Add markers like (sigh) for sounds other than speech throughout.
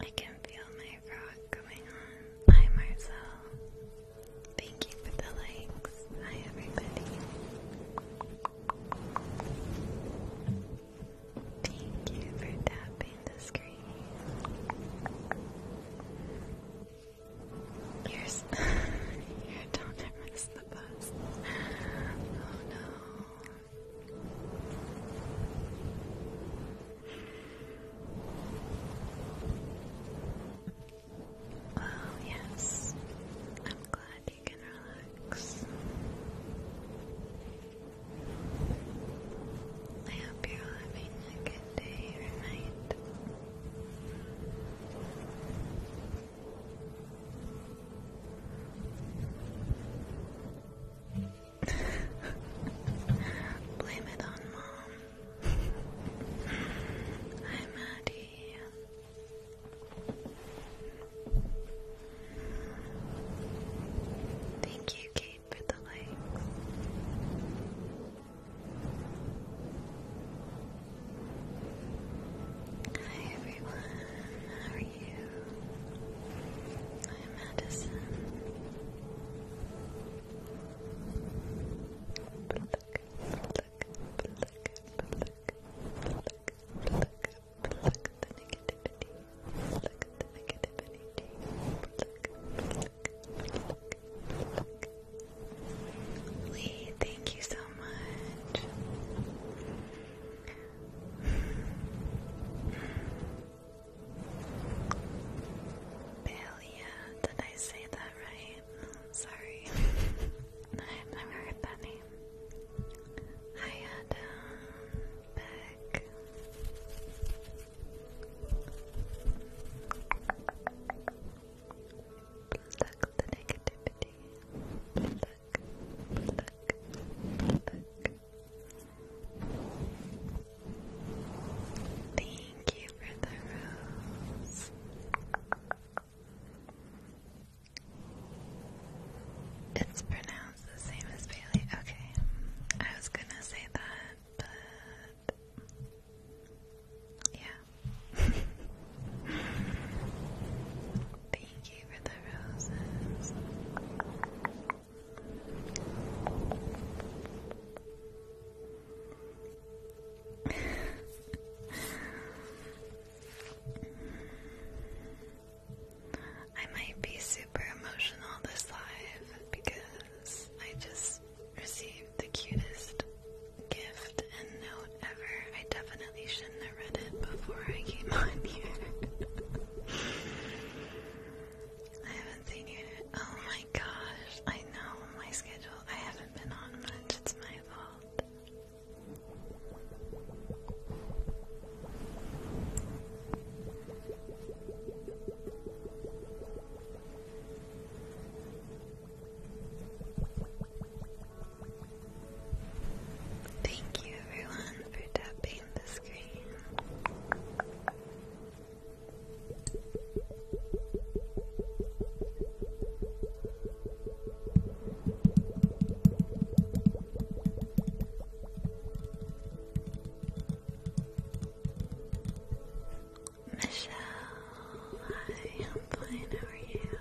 I can feel my frog going on. Hi Marcel. Thank you for the likes. Hi everybody. Thank you for tapping the screen. Here's don't miss the bus. Oh no. Oh yes. I'm glad you can relax relax. I hope you're all having a good day or night. (laughs) Blame it on mom. Hi, (laughs) Maddie. Thank you, Kate, for the light. Hi everyone, how are you? I'm Madison. Pluck, pluck, pluck, pluck, pluck, pluck, Pluck the negativity. Pluck the negativity. Pluck, pluck, pluck, pluck. Lee, thank you so much. Balia, did I say that right? Oh, sorry. (laughs) I've never heard that name. Hi Adam. Bye back. Pluck the negativity. Pluck, pluck, Thank you for the rose. It's pronounced the same as Bailey. Okay, I was gonna say that, but yeah. (laughs) Thank you for the roses. (laughs) I might be super emotional this live because I just received the cutest gift and note ever. I definitely shouldn't have read it before I came (laughs) on here. I haven't seen it. Oh my gosh, I know my schedule. I haven't been on much. It's my fault. Thank you everyone for tapping the screen. Michelle, I'm fine, how are you?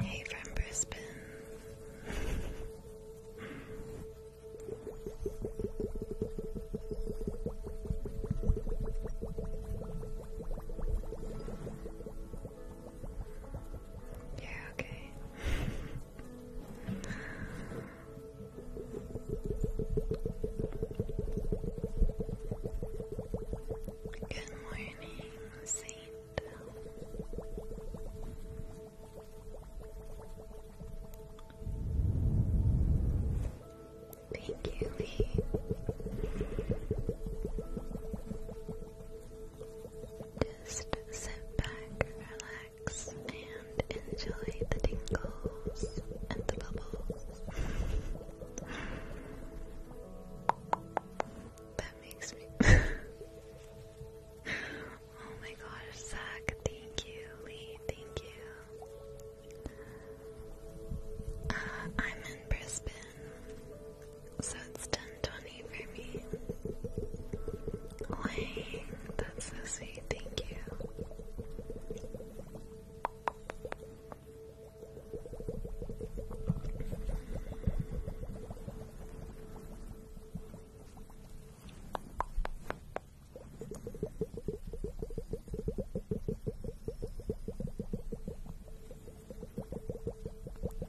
Hey from Brisbane. Yeah, okay. Good morning, Saint. Thank you, Lee. Just sit back, relax, and enjoy the tingles and the bubbles. that makes me. (laughs) oh my gosh, Zach, thank you, Lee, thank you. Uh, I'm in Brisbane, so it's 10:20 for me. that's so sweet. Thank you.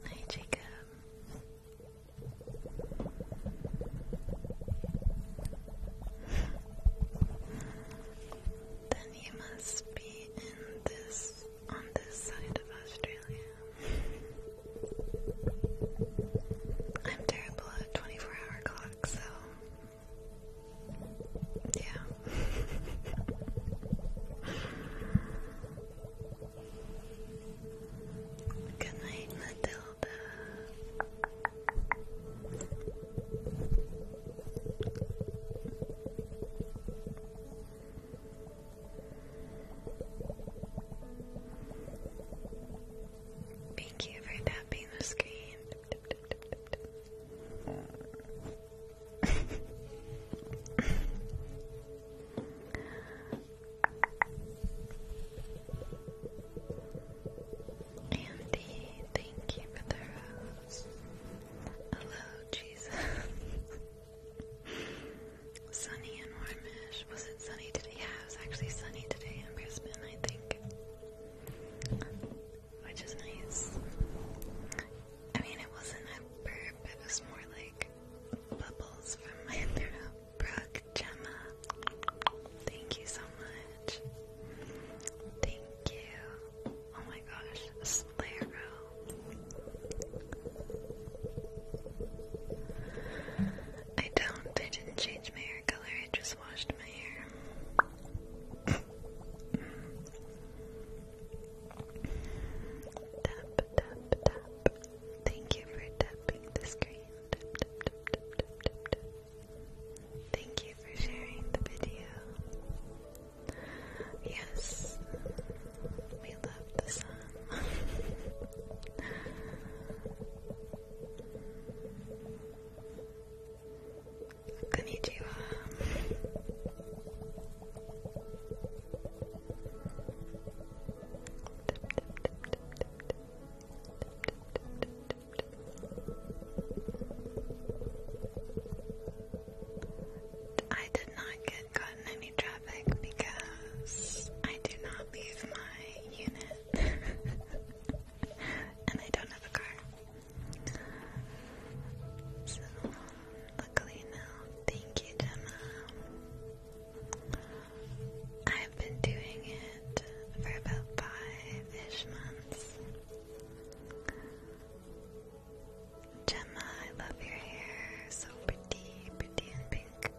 Hi, Jacob. then you must be in this on this side of Australia. I'm terrible at 24 hour clocks, so yeah. Good night, Matilda. Thank you for tapping the screen. Andy, thank you for the rose. Hello, Jesus. sunny and warmish. Was it sunny today? it was actually sunny today in Brisbane, I think which is nice. I mean, it wasn't a burp, it was more like bubbles from my (laughs) throat. Brooke, Gemma, thank you so much. Thank you. Oh my gosh, Slaro. I don't, I didn't change my I just washed my hair. tap, tap, tap. Thank you for tapping the screen. Thank you for sharing the video. Yes, we love the sun. (laughs) I did not get caught in any traffic because I do not leave my unit. (laughs) and I don't have a car. So, luckily now, thank you, Gemma. I've been doing it for about five-ish months. Gemma, I love your hair. So pretty, pretty and pink.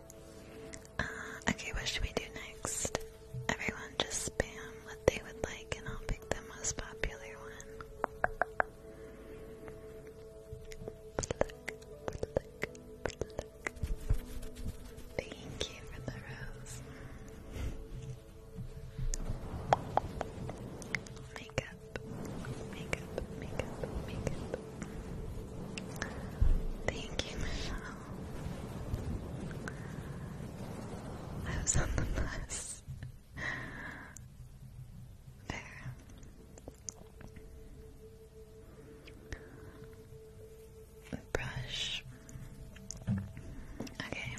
Uh, okay, what should we do next? Everyone just spam what they would like, and I'll pick the most popular one. Pluck, pluck, pluck. Thank you for the rose. Makeup, makeup, makeup, makeup. Thank you, Michelle. I was on the bus. There. Brush. Okay.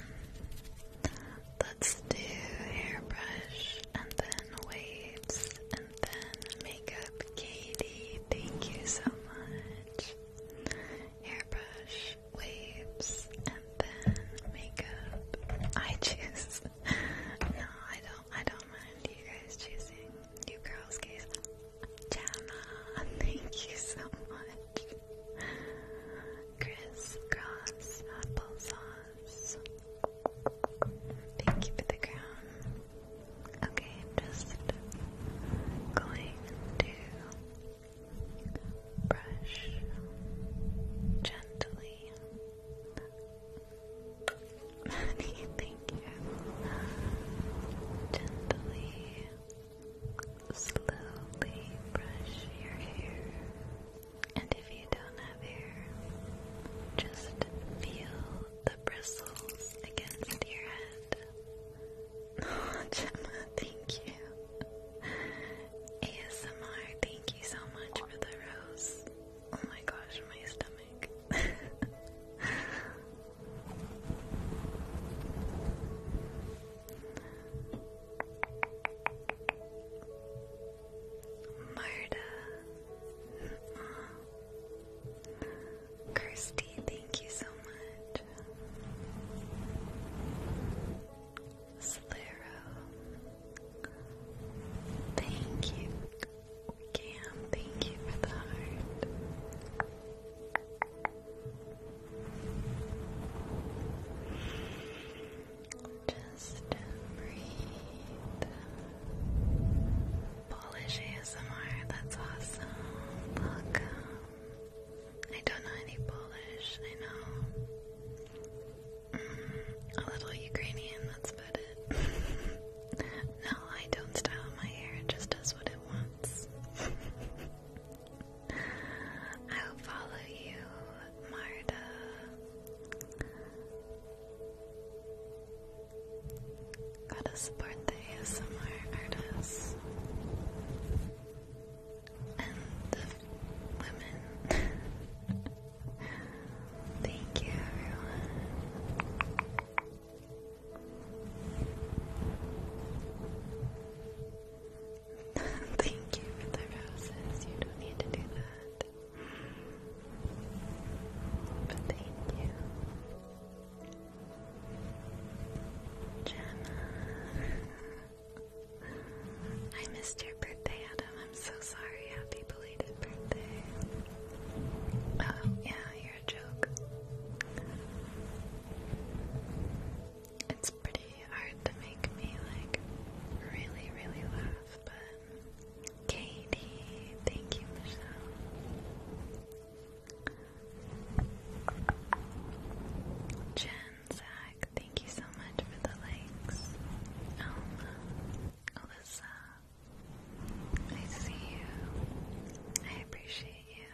Let's do hairbrush and then waves and then makeup. Katie, thank you so much. Hairbrush waves and then makeup. I choose. (laughs) no, I don't. I don't mind you guys choosing. You girls, guys. Jana, (laughs) thank you so much. Chris Cross applesauce. Thank you for the crown. Okay, I'm just going to brush gently. (laughs) Thank you. Gently, slowly brush your hair. And if you don't have hair, just feel the bristles against your head. (laughs) Gemma, thank you. ASMR, thank you so much for the rose. Oh my gosh, my stomach. Marta. Kirsty, thank you so much. Slero. Thank you. Cam, thank you for the heart. Just breathe. Polish ASMR, that's awesome. Welcome. I don't know any Polish, I know. Mm, a little Ukrainian, that's about it. (laughs) no, I don't style my hair, it just does what it wants. (laughs) I'll follow you, Marta. Gotta support the ASMR artists and women. (laughs) Thank you, everyone. (laughs) Thank you for the roses. You don't need to do that. But thank you. Jenna. I missed your birthday, Adam. I'm so sorry. Happy belated birthday. Oh, yeah, you're a joke. It's pretty hard to make me, like, really, really laugh, but. Katie, thank you, Michelle. Jen, hi, Thank you so much for the likes. Alma, um, Alyssa, I see you. I appreciate you.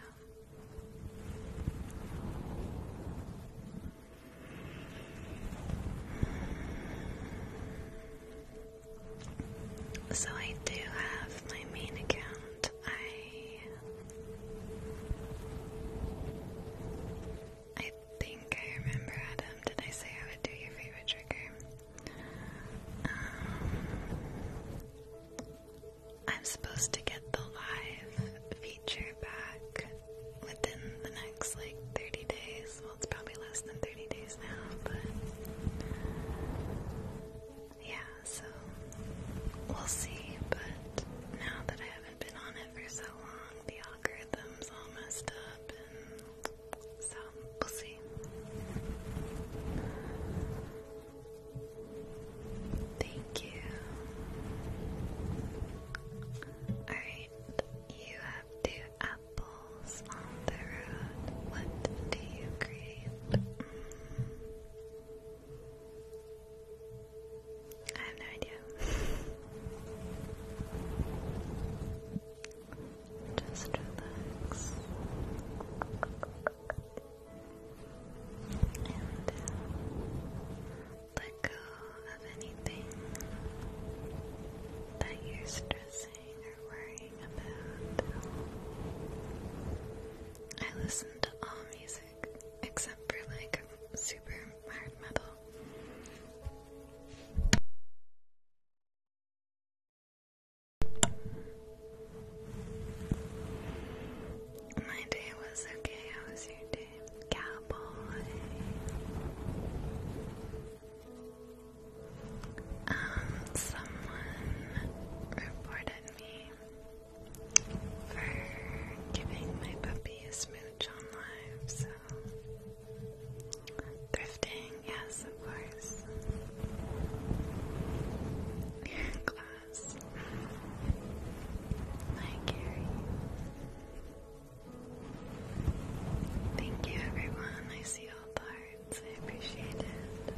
So I do have my main account. I I think I remember, Adam. Did I say I would do your favorite trigger? Um, I'm supposed to get the live feature back within the next like 30 days. Well, it's probably less than 30 days now, but yeah, so we'll see. But now that I i have been on it for so long. The algorithm's all messed up, and so we'll see. Thank you. Alright, you have two apples on the road. What do you create? Mm. I have no idea. Just relax. And uh, let go of anything that you're stressing or worrying about. I listen to all music except for like super hard metal. My day was okay. How was your day, cowboy? Um, someone reported me for giving my puppy a smooch on live, so thrifting, yes, of course. Glass. Hi, Gary. Thank you, everyone. I see all the hearts. I appreciate it.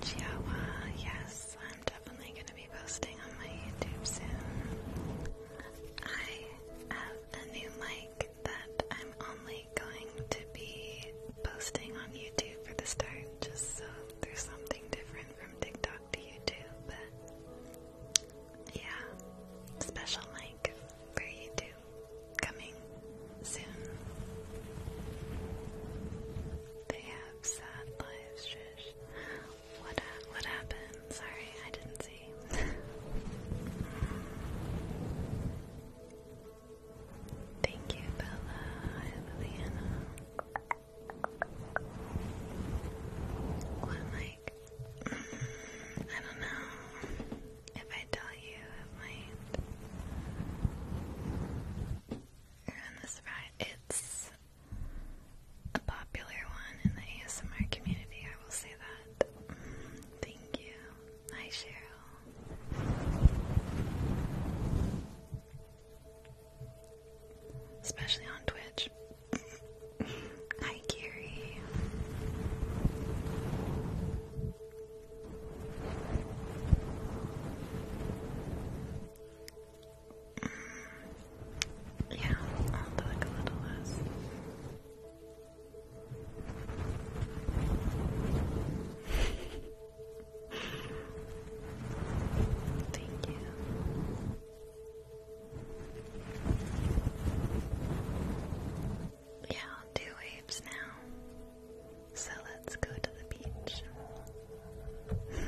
Chihuahua, yes, I'm definitely going to be posting on my YouTube soon. I have a new mic that I'm only going to be posting on YouTube for the start, just so there's something different from TikTok to YouTube. yeah, special mic for YouTube coming soon. They have sad lives, What, uh, what happened? Sorry, I didn't see. (laughs) Thank you, Bella. Hi, Liliana. What, Mike? Mm, I don't know. If I tell you, it might ruin It's a popular one in the ASMR community, I will say that. Mm, thank you. Hi, Cheryl. Especially on Twitch. (laughs) Hi, Gary. Yeah, I'll do like a little less. Thank you. Yeah, two waves now. So let's go to the beach. (laughs)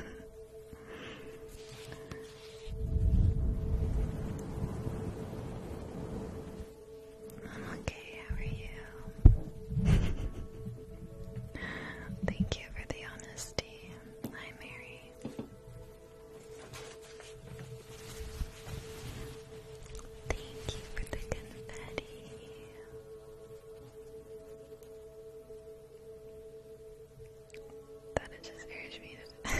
I'm okay, how are you? (laughs) Thank you for the honesty. Hi, Mary. Thank you for the confetti. That is just urged me to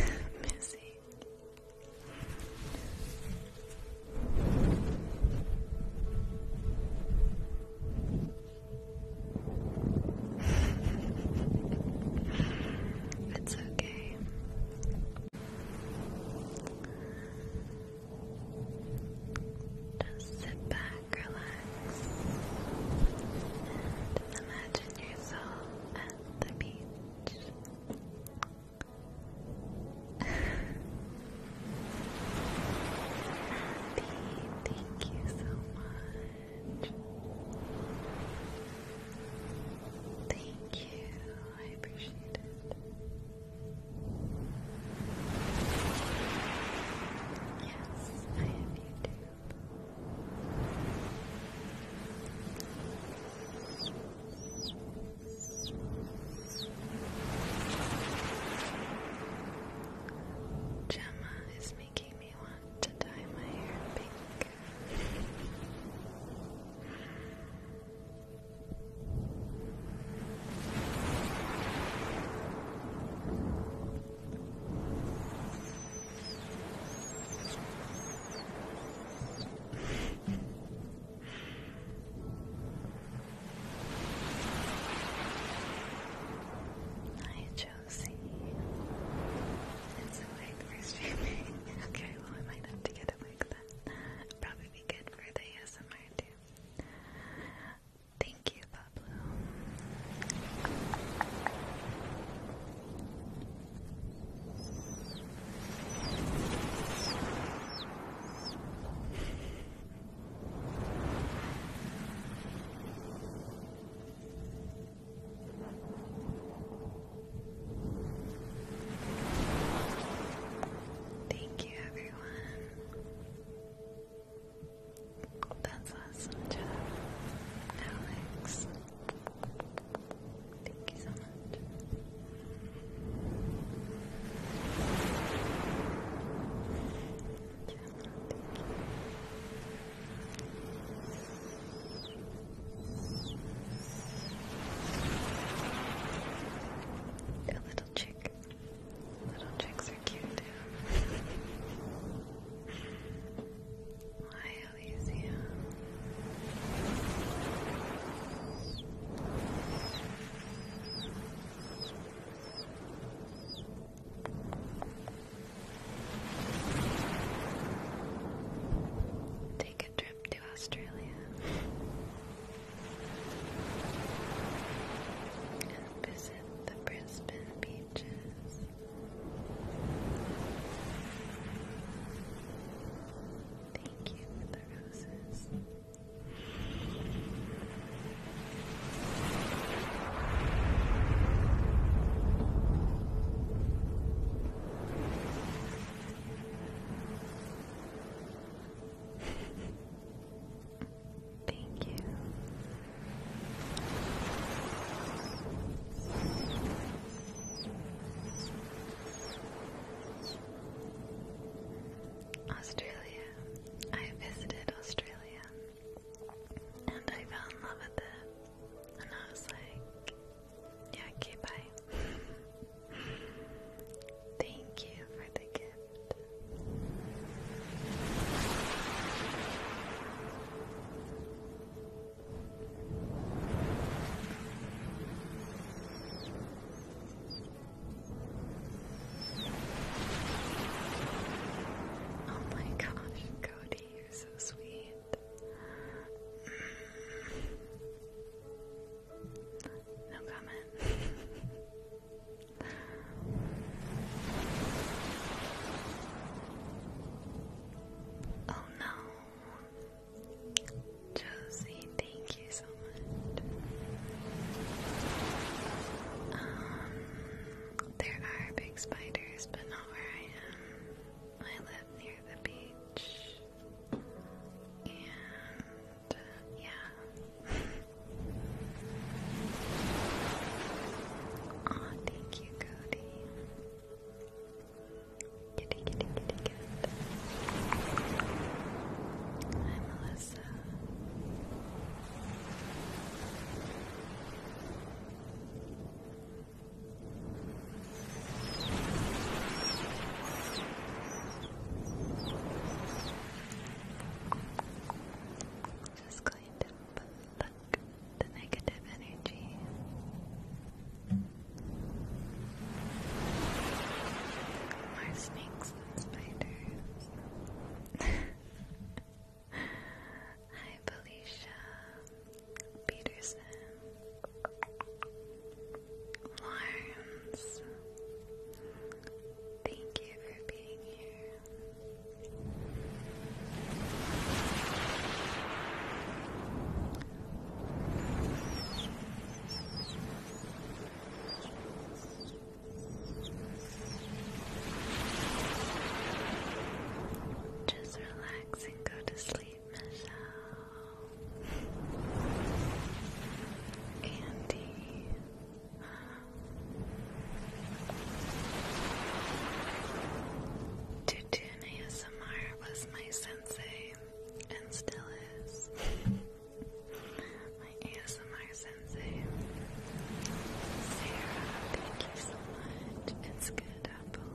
it's okay. Just sit back, relax, and imagine yourself at the beach. Happy, thank you so much. Thank you, I appreciate it. Yes, I have YouTube. Gemma is making me want to dye my hair pink. Hi, Josie. It's a wig for (laughs) okay, well, I might have to get a wig then. Probably good for the ASMR too. Thank you, Pablo. Thank you, everyone. That's awesome job, Alex. Thank you so much. A little chick. Little chicks are cute too. Hi, Take trip to Australia visit the Brisbane beaches. Thank you for the roses. Thank you. Australia. I visited Australia and I fell in love with it. And I was like, yeah, okay, bye. Thank you for the gift. Oh my gosh, Cody, you're so sweet. No comment. (laughs) oh no. Josie, thank you so much. Um, there are big spiders, but not where I am. I live near the beach yeah. thank you, Cody. Kitty, kitty, kitty, cat. Hi, Melissa. Just going to pluck the negative energy. More snakes than spiders. (laughs) Hi, Felicia Peterson. Lawrence, thank you for being here. Just relax and go to sleep, Michelle. Andy. Tutun ASMR was my sensei and still is. my ASMR sensei. Sarah, thank you so much. It's good, Apple.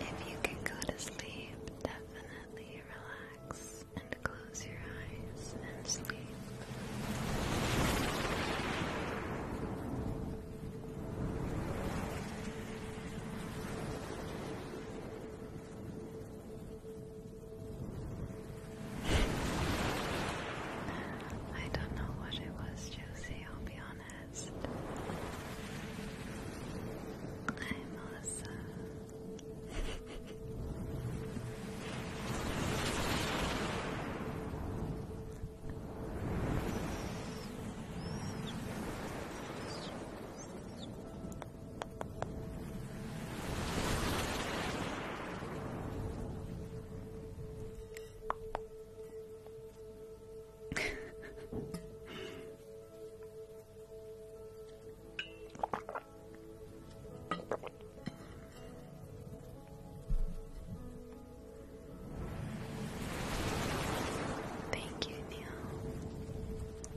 If you can go to sleep, definitely relax and close your eyes and sleep. I don't know what it was, Josie, I'll be honest. Hi, Melissa. Thank you, Neil.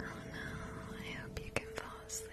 Oh no, I hope you can fall asleep.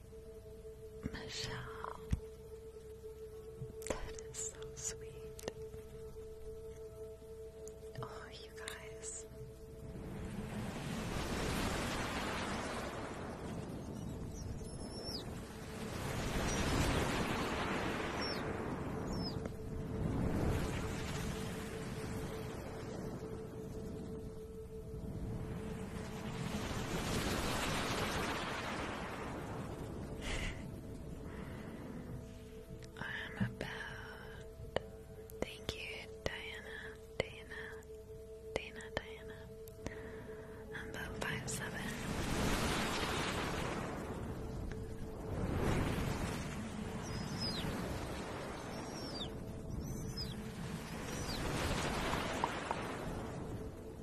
Michelle. That is so sweet. Oh, you guys. I'm about. Thank you, Diana, Diana, Dana, Diana. I'm about five seven.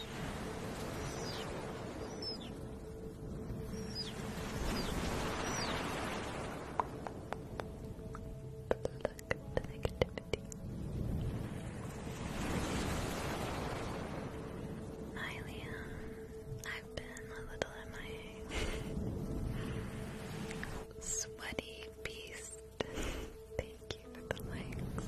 Look at the I've been a little MIA. (laughs) Sweaty beast. (laughs) Thank you for the likes.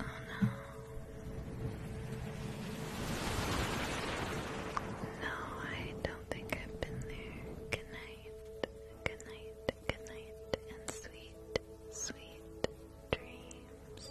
Oh no. No, I don't think I've been there. Good night. Good night. Good night. And sweet, sweet dreams.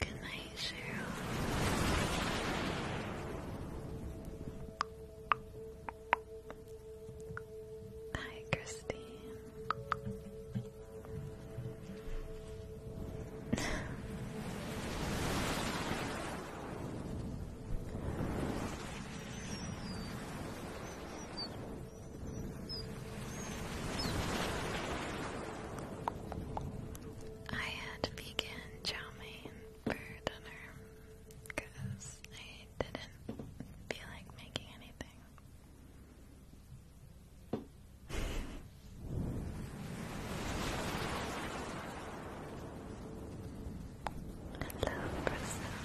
Good night, Cheryl. Hi, Christine. (laughs) I had vegan chow for dinner because I didn't feel like making anything. (laughs) Hello, Priscilla.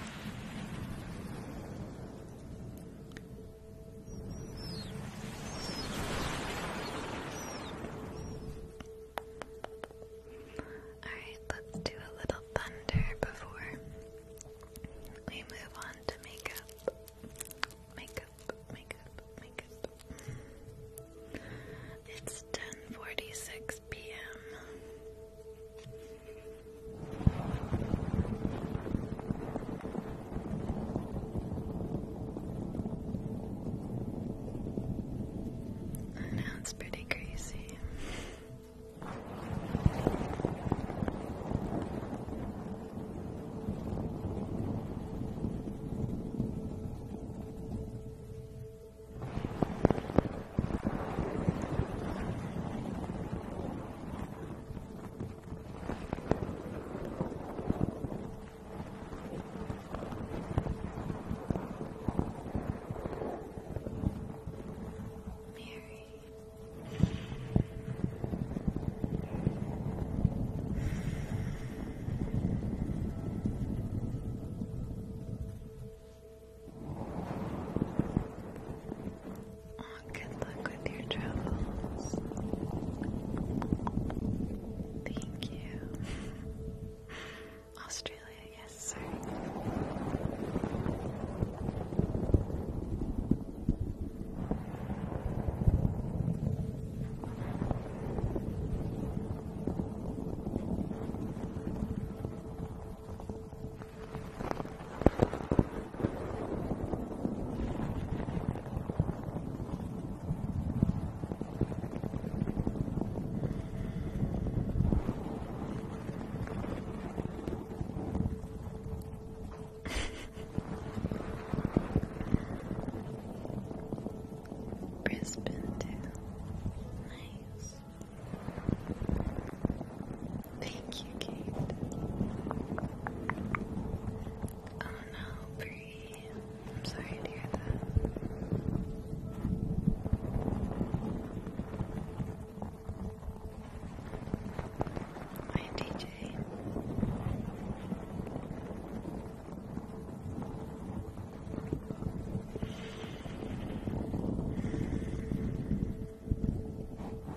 Alright, let's do a little thunder before we move on to makeup. Makeup, makeup, makeup. It's 10:46 p.m. I it's pretty crazy. Mary good luck with your travels. Thank you. (laughs) Australia, yes, sir. Brisbane too. Nice. Thank you, Kate. Oh no, Bree. I'm sorry to hear that. Hi, DJ.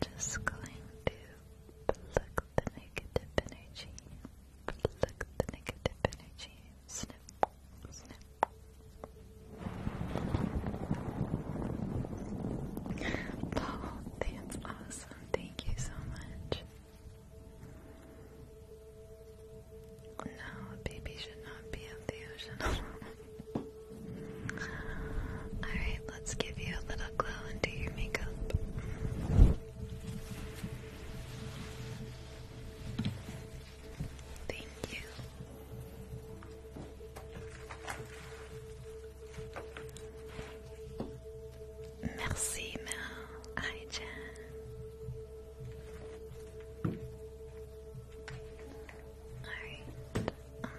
Just going to pluck the negative energy, pluck the negative energy, snip, snip. (laughs) oh, that's awesome. Thank you so much. No, a baby should not be of the ocean. (laughs) Alright, let's give you a little glow into your makeup. Thank you. Merci Mel, Aijin. Alright. Um.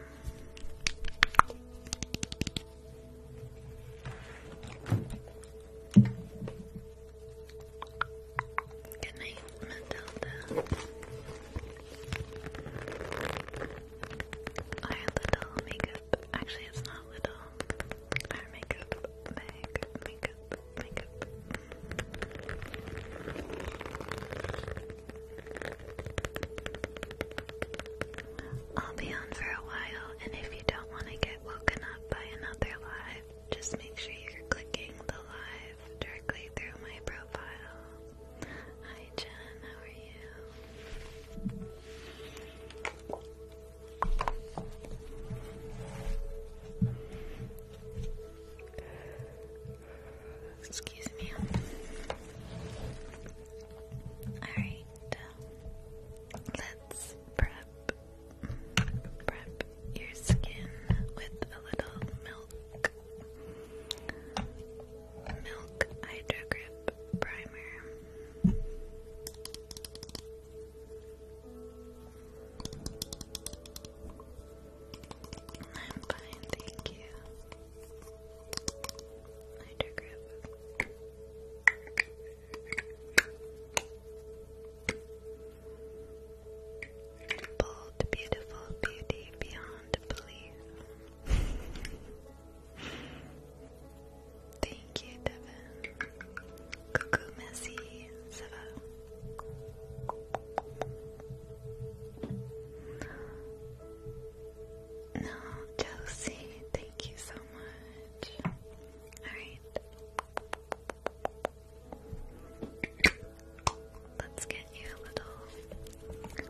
Good night, Matilda. Our little makeup. Actually, it's not little makeup, makeup, makeup, makeup. I'll be on for a while, and if you don't want to get woken up by another live, just make sure you're clicking the live directly through my profile. Hi Jen, how are you? Excuse me. Alright, um, let's prep prep your skin with a little milk milk hydro primer. I'm fine, thank you. Lighter Bold, beautiful beauty beyond belief. Thank you, Devin. Cuckoo Messy, No, Chelsea, thank you so much. Alright. Let's get you a little.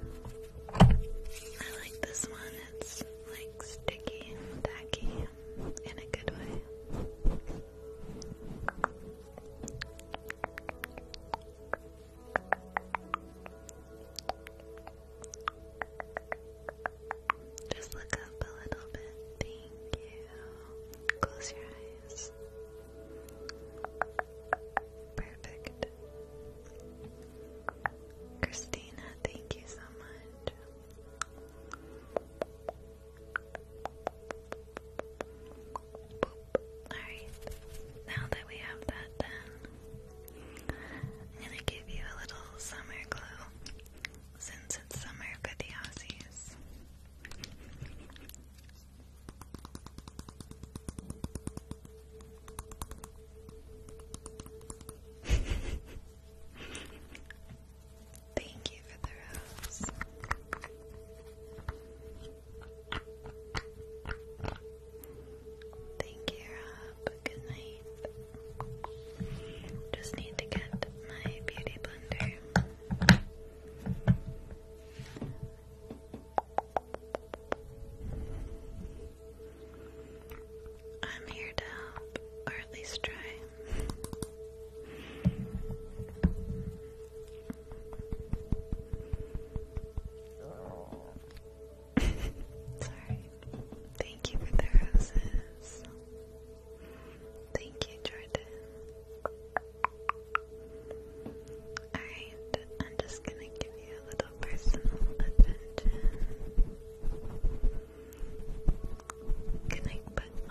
I like this one, it's like sticky and tacky in a good way. Just look up a little bit. Thank you. Close your eyes. Perfect. Christina, thank you so much. Alright, now that we have that done, I'm gonna give you a little summer glow since it's summer for the Aussies. (laughs) Thank you for the rose. Thank you, Rob. Good night. Just need to get my beauty blender. I'm here to help, at least try. (laughs) Sorry. Thank you for the roses. Thank you, Jordan. Alright, I'm just gonna give you a little personal attention. Can I put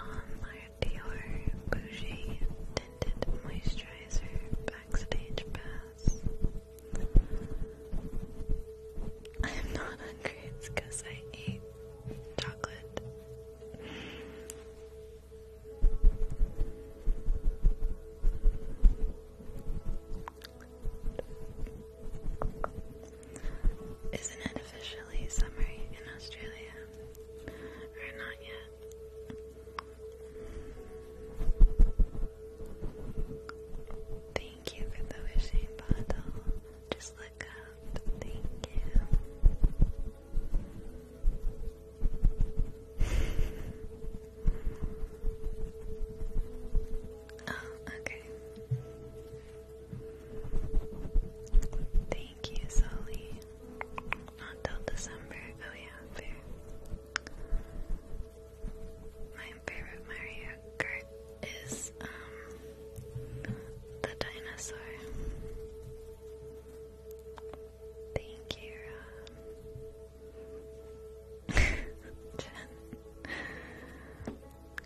Bougie Tinted Moisturizer Backstage I'm not hungry, because I eat chocolate. Isn't it officially summer in Australia? Or not yet? Thank you for the wishing bottle. Just look up. Thank you. (laughs) oh, okay. Thank you, Sully. Not till December. Oh yeah, fair. My favorite Mario Kart is um the dinosaur. Thank you, (laughs) Jen.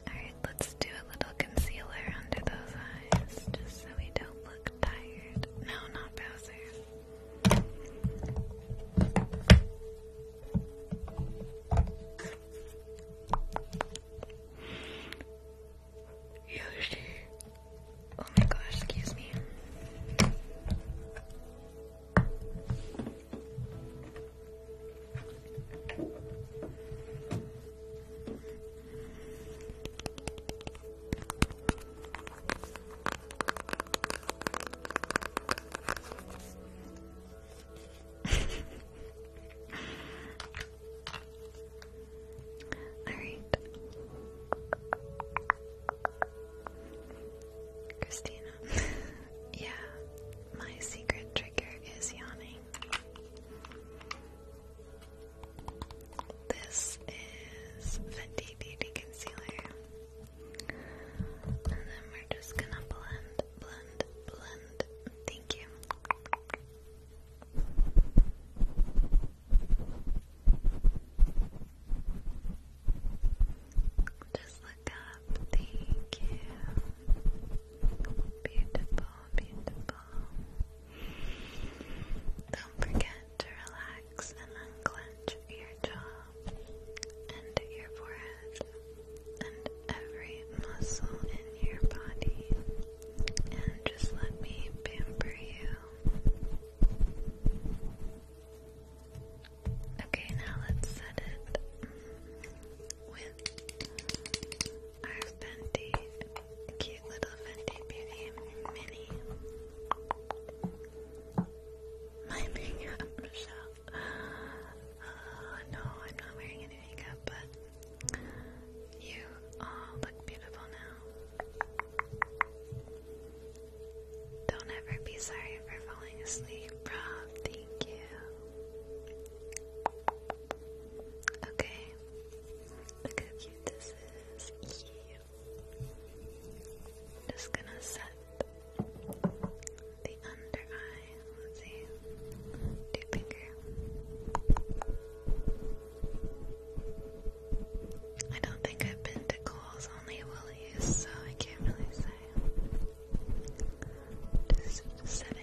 Alright, let's do a little concealer under those eyes just so we don't look tired. No, not Bowser. Yoshi. Oh my gosh, excuse me. All right. Christina. (laughs) yeah, my secret trigger is yawning. This is the Beauty Concealer. And then we're just gonna blend, blend, blend. Thank you. Just look up. Thank you. Beautiful, beautiful. Don't forget to relax and unclench your jaw and your forehead and every muscle in your body. And just let me pamper you. Okay, now let's set it our Fenty, cute little Fenty Beauty Mini. My makeup, oh, no, I'm not wearing any makeup, but you all look beautiful now. Don't ever be sorry for falling asleep, Rob. Thank you. Okay, Look how cute this is. Just gonna set the under eye. Let's see. Two finger. I don't think I've been to Cole's, only Willie's, so I can't really say. Just setting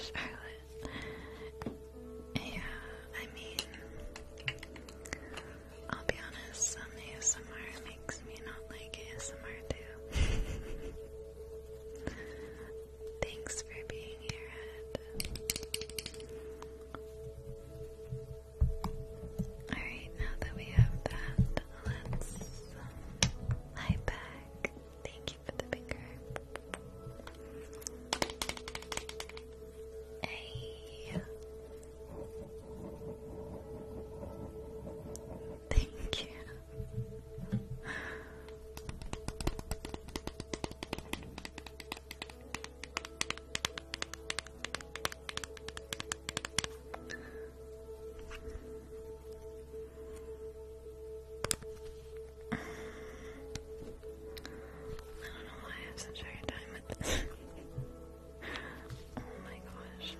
Charlotte. Yeah, I mean, I'll be honest, The ASMR makes me not like ASMR too. (laughs) Thanks for being here, Alright, now that we have that let's lie back. Thank you for the picture. Hey. Thank you. I don't know why I have such a hard oh my gosh.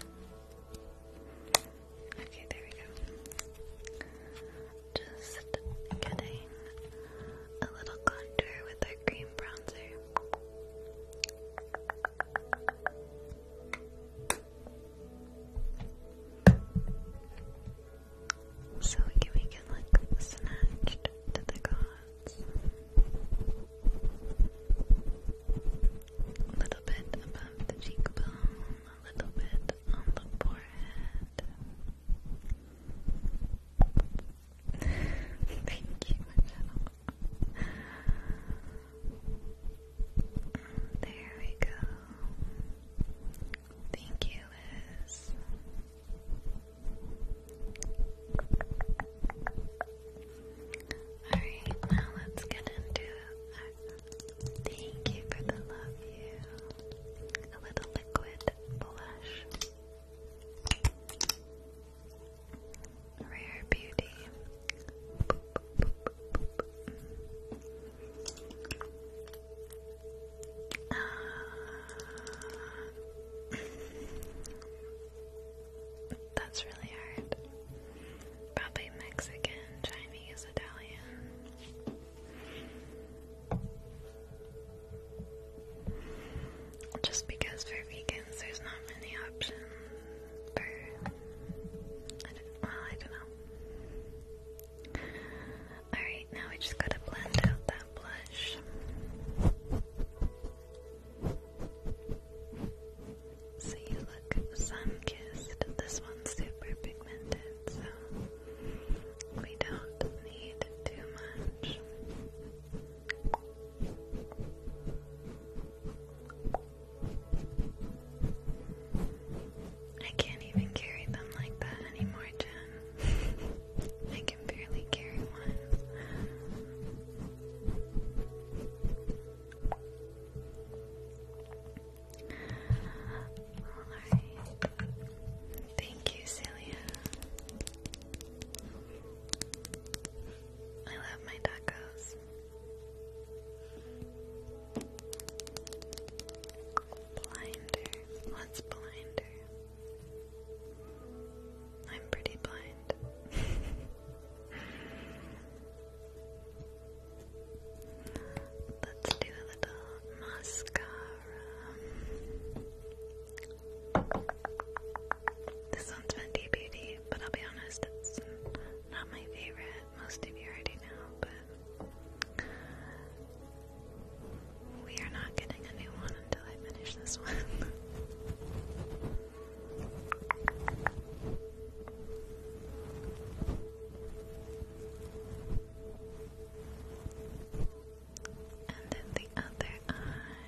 Okay, there we go. Just getting a little contour with our cream bronzer. So we can like snatched to the gods. A little bit above the cheekbone, a little bit on the forehead. (laughs) Thank you, Michelle. There we go. Thank you, Liz. Alright, now let's get into Thank you for the love you. A little liquid blush. Rare beauty. Uh, that's really hard. Probably Mexican, Chinese, Italian. Just because for vegans there's not many options well, I don't know. Alright, now we just gotta blend out that blush. So you look sun-kissed. This one's super pigmented, so we don't need too much. I can't even carry them like that anymore, Jen. I can barely carry one. Alright. Thank you, Celia. I love my tacos. Blinder. What's blinder? I'm pretty blind. (laughs) Let's do a little mascara. This one's Fenty Beauty, but I'll be honest, it's not my favorite. Most of you already know, but we are not getting a new one until I finish this one. And then the other eye.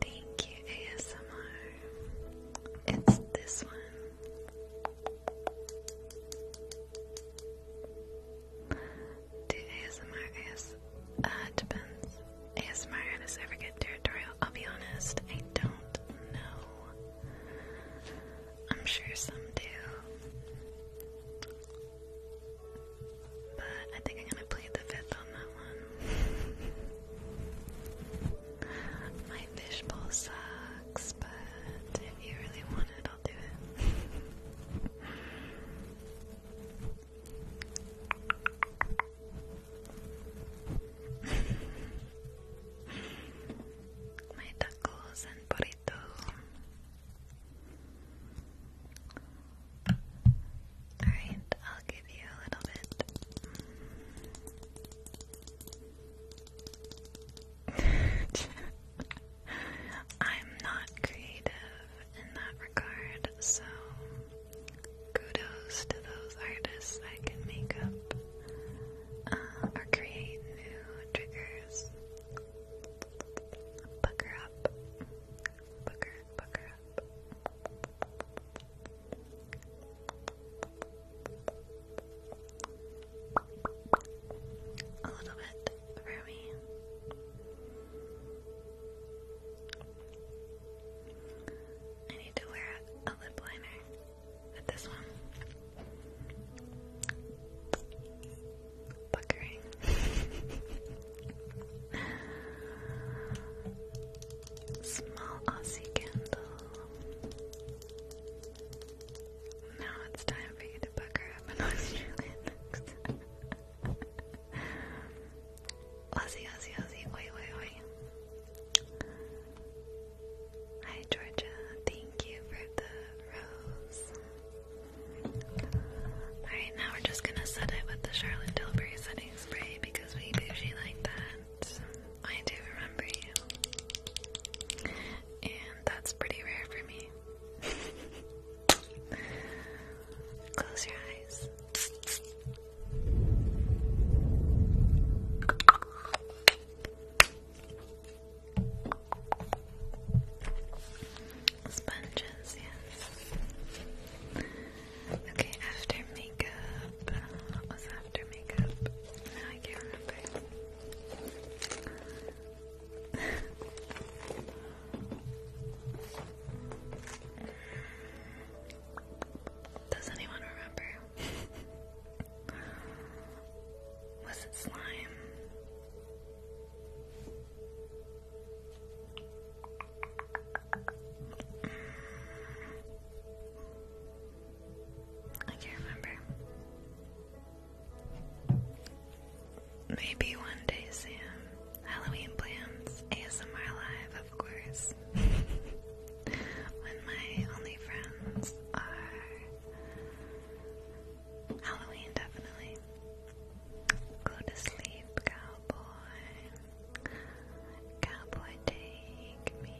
Thank you, ASMR. It's this one. ASMR AS uh, depends. ASMR artists ever get territorial? I'll be honest, I don't know. I'm sure some do. But I think I'm gonna play the fifth on that one. (laughs) My fishbowl sucks, but if you really want it, I'll do it. (laughs) My tacos and burrito. Alright, I'll give you a little bit. (laughs) I'm not creative in that regard, so kudos to those artists that can make up uh, or create new triggers. Bucker up. Bucker, bucker up. A little bit for me. I need to wear a lip liner with this one. Buckering. (laughs) Small Aussie candle. Now it's time for you to pucker up an (laughs) Australian Aussie, Aussie, Aussie, oi, oi, oi. Hi, Georgia. Thank you for the rose. Alright, now we're just gonna set it with the Charlotte Tilbury setting spray because we bougie like that. I do remember you. And that's pretty rare for me. (laughs) Close your eyes. Sponges, yes. Okay, after makeup. What was after makeup? I can't remember. (laughs) Does anyone remember? Was it slime? I can't remember. Maybe one day, Sam. Halloween plans. ASMR Live, of course. (laughs) when my only friends are Halloween, definitely. Go to sleep, cowboy. Cowboy, take me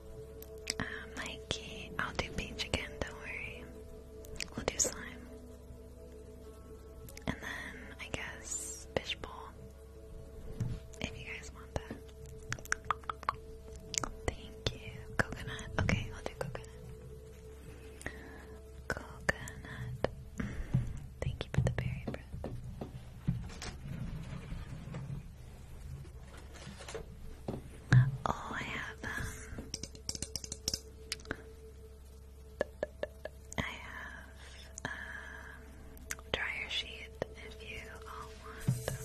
Um, Mikey, I'll do Peach again, don't worry. We'll do Slime. And then, I guess, Fishbowl. If you guys want that. Thank you. Coconut. Okay, I'll do Coconut. Coconut. Mm, thank you for the berry bread. Oh, I have, um, I have, um, dryer sheet if you all want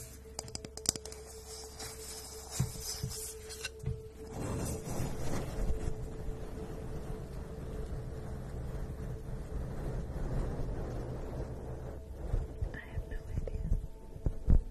I have no idea.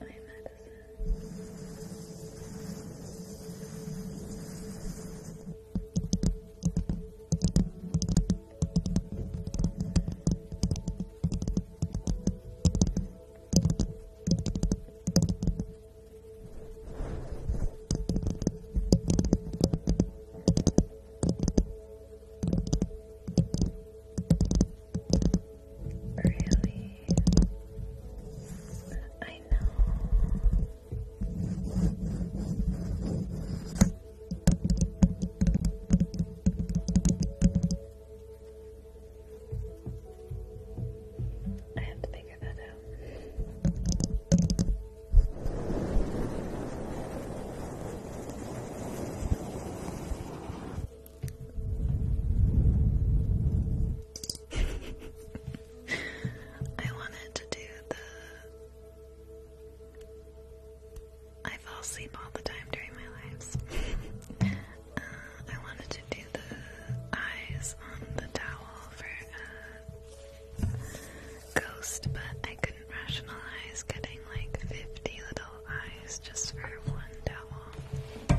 my medicine. Really? I know. I have to figure that out. (laughs) I wanted to do the. I fall asleep all the time during my lives. (laughs) Uh, I wanted to do the eyes on the towel for a uh, ghost, but I couldn't rationalize getting like 50 little eyes just for one towel.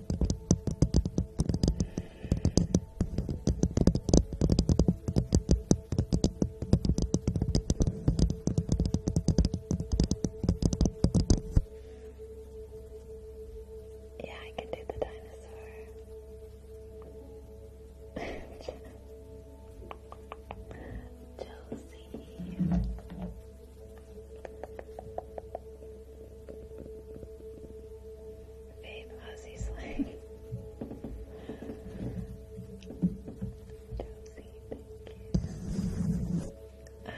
Yeah, I can do the dinosaur. Josie. (laughs) Babe, Aussie slang. Josie, thank you. Um,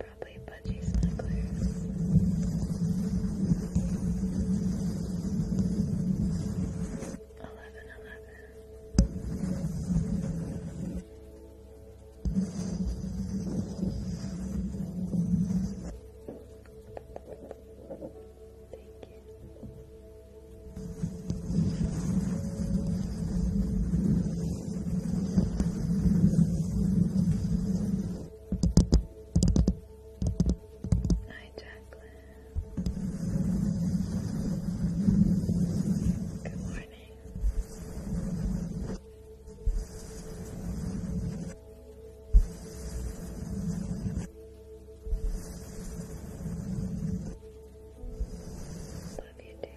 Probably budgie smugglers. Thank you. Hi, Jacqueline. Good morning. Love you too.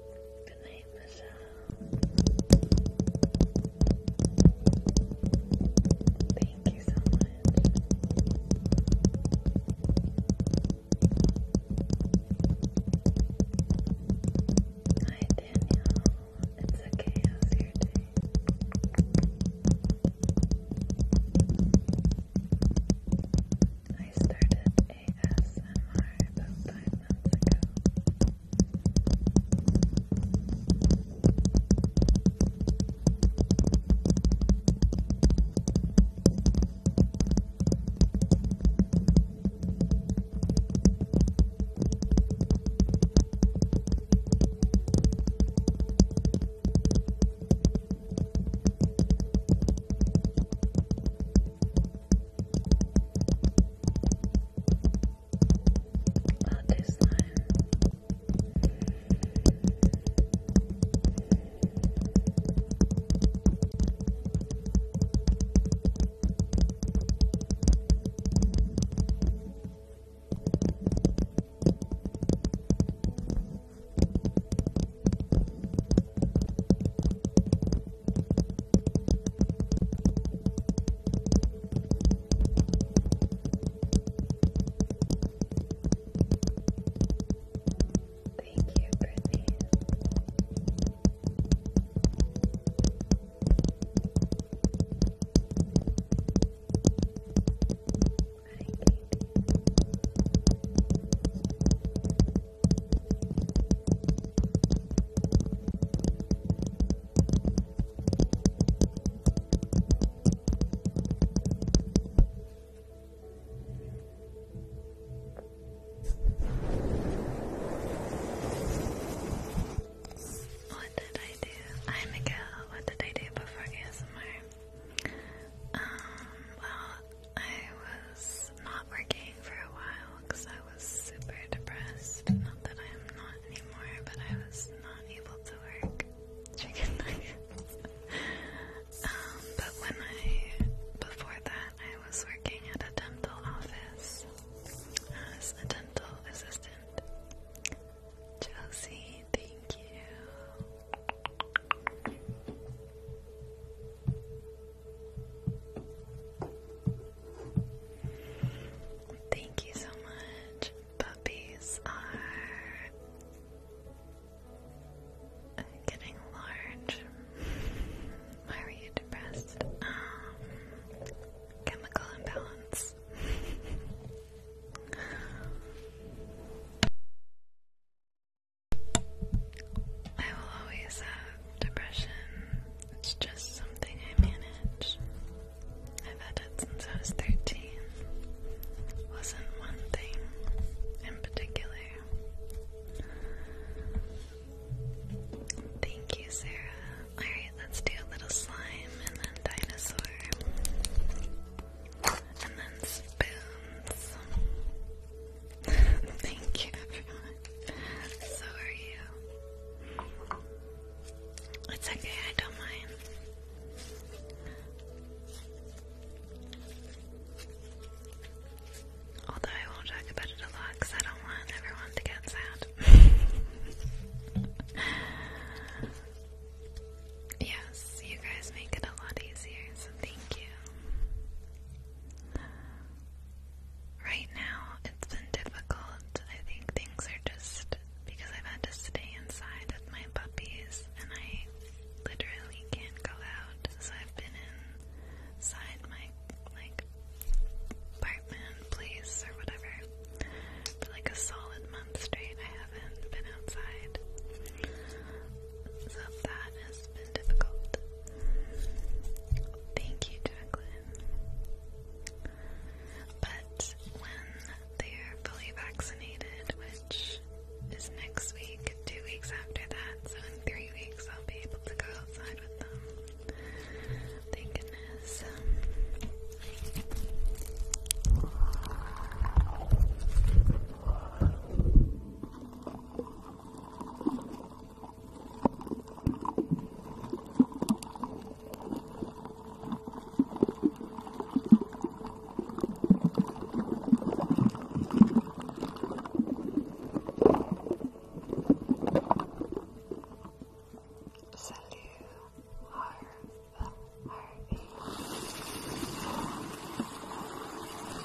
Good night, Michelle. Thank you so much. Hi, Danielle. It's okay. How's your day? I started ASMR about five months ago. I not this time. Thank you, Brittany. Hi, what did I do? I'm Miguel. What did I do before ASMR? Um, I was not working for a while because I was super depressed. Not that I'm not anymore, but I was not able to work (laughs) um, but when I, before that, I was working at a dental office as a dental assistant. Chelsea, thank you. Thank you so much. Puppies are getting large. Why were you depressed? Um, chemical imbalance. I will always have depression. It's just something I manage. I've had it since I was 13. Wasn't one thing in particular. Thank you, Sarah. Alright, let's do a little slime and then dinosaur. And then spoons. Thank you, everyone. So are you. It's okay, I don't mind. Although I won't talk about it a lot because I don't want everyone to get sad. (laughs) yes, you guys make it a lot easier, so thank you. Right now, it's been difficult. I think things are just because I've had to stay inside with my puppies and I literally can't go out. So I've been inside my like apartment place or whatever for like a solid month straight. I haven't been outside. So that has been difficult. Thank you, Jacqueline. But when they're fully vaccinated, which is next week, two weeks after that, so in three weeks I'll be able to go outside with them. Thank goodness. Salut, Harv, Harvey.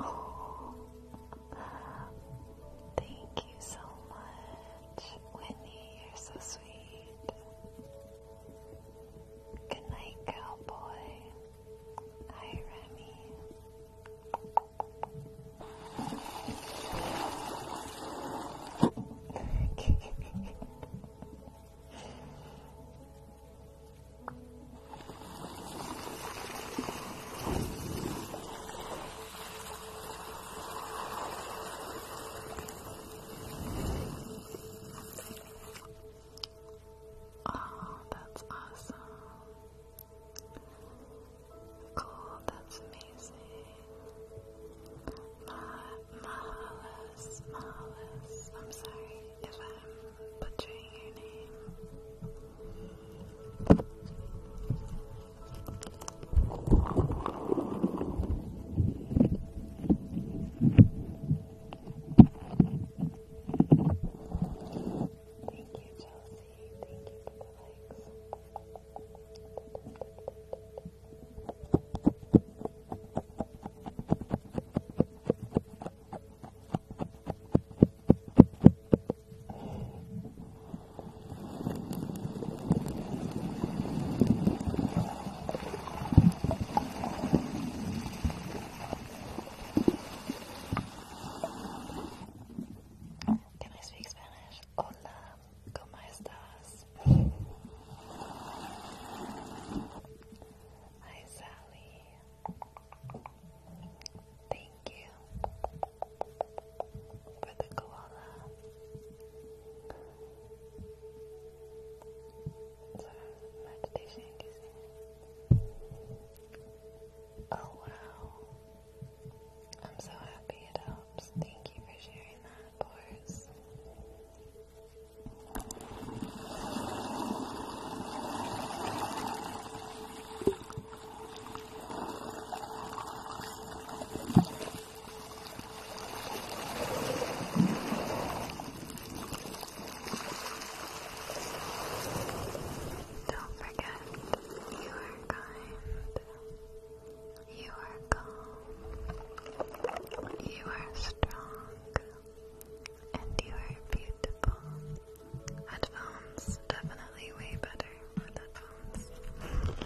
Oh. Thank you so much, Winnie. You're so sweet. Good night, cowboy. Hi, Remy. Oh, that's awesome. Cool, that's amazing. Mah Mahalis, I'm sorry if I'm butchering your name. Thank you, Chelsea. Thank you for the likes. Can I speak Spanish? Hola, ¿cómo estás? Hi, Sally. Thank you for the koala. Oh wow. I'm so happy it helps. Thank you for sharing that, Boris. Don't forget, you are kind, you are calm, you are strong, and you are beautiful. Headphones, definitely way better with headphones.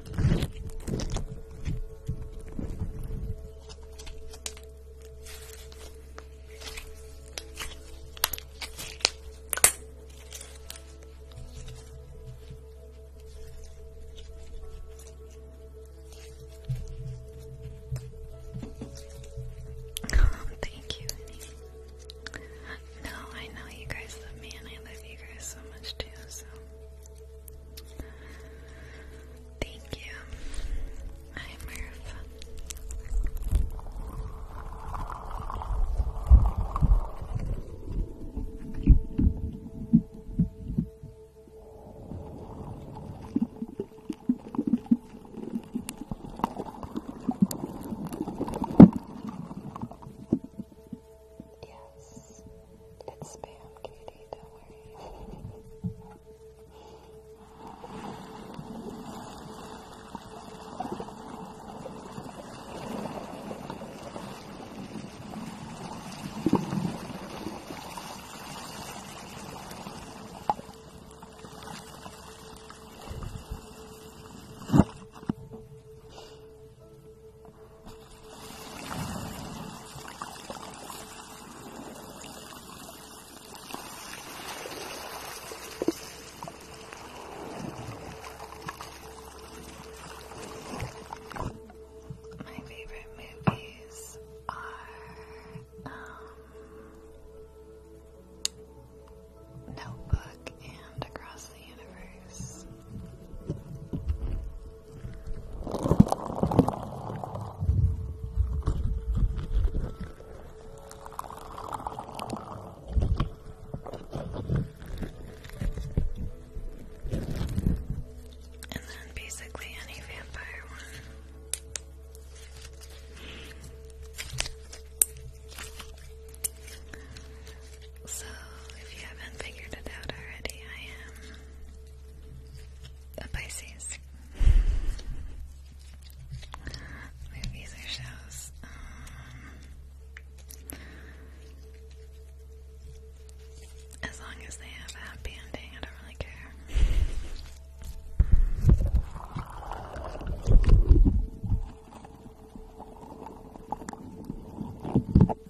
(laughs) Thank you, No, I know you guys love me and I love you guys so much too, so Thank you. Hi, Murph. Yes. It's spam, Katie, don't worry. My favorite movies are um, Notebook and Across universe. And then basically any vampire one. So, if you haven't figured it out already, I am a Pisces. Movies or shows. Um, as long as they have a happy ending, I don't really care.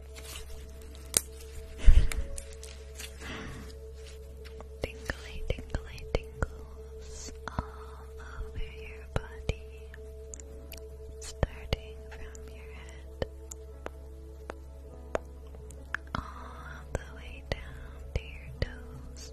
tingly, tingly, tingles all over your body, starting from your head all the way down to your toes.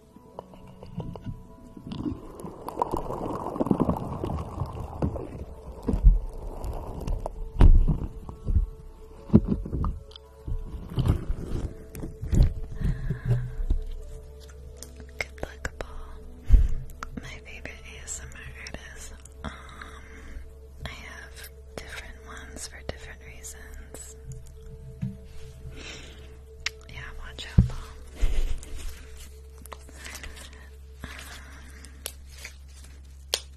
Good luck, Paul. My favorite ASMR artist. Um, I have different ones for different reasons. Yeah, watch out, Mom.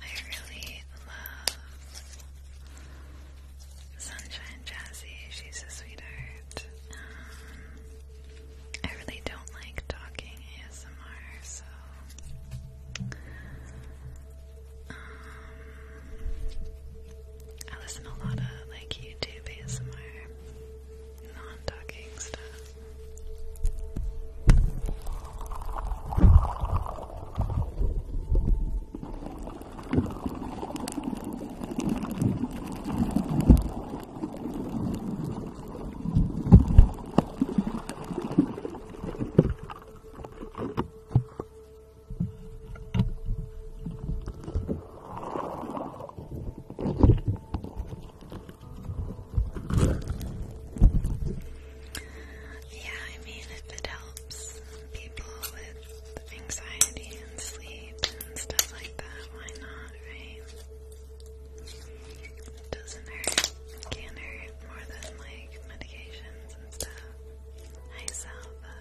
I really love Sunshine Jazzy. She's a sweetheart. Um, I really don't like talking ASMR, so. Um, I listen to a lot of like YouTube ASMR, non-talking stuff. Yeah, I mean, if it helps people with anxiety and sleep and stuff like that, why not, right? doesn't hurt, can't hurt more than like medications and stuff. Hi, Salva.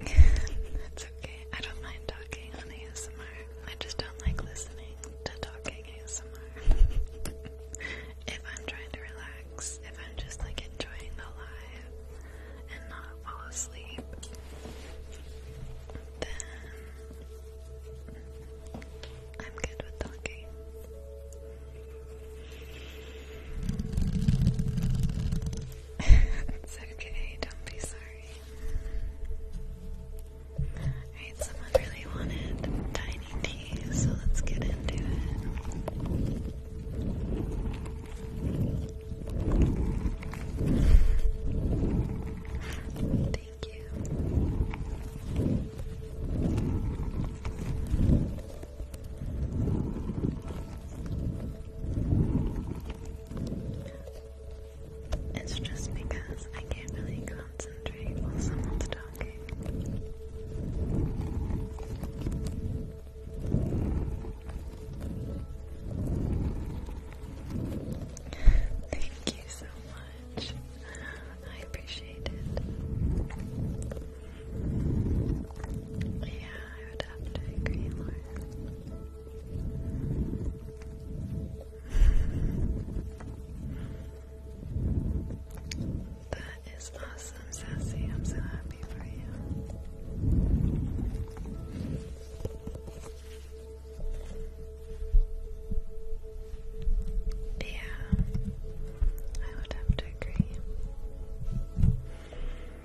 That's okay. I don't mind talking on ASMR. I just don't like listening to talking ASMR. (laughs) if I'm trying to relax, if I'm just like enjoying the live and not fall asleep, then I'm good with talking it's okay, don't be sorry. Alright, someone really wanted tiny tea, so let's get into it. Thank you. It's just because I can't really concentrate while someone's talking. Thank you so much. I appreciate it. Yeah, I would have to agree, that is awesome, Sassy. I'm so happy for you. Yeah, I would have to agree.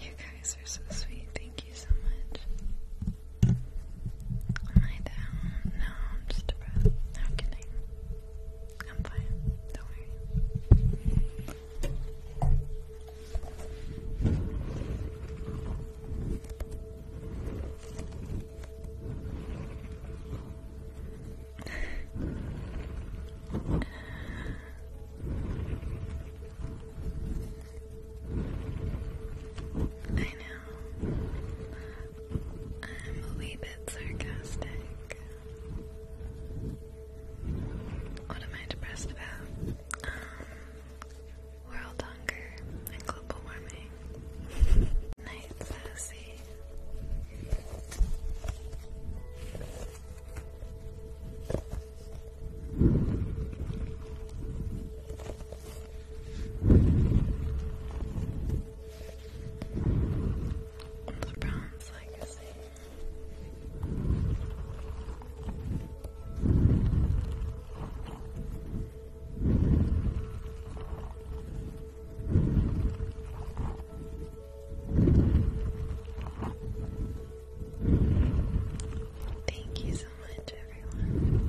you guys are so sweet. Thank you so much. Am I down? No, I'm just depressed. No, I'm kidding. I'm fine. Don't worry. I know. I'm a wee bit sarcastic. What am I depressed about? Um, world hunger and global warming. (laughs) Night sassy. The Bronze Legacy. Thank you so much, everyone.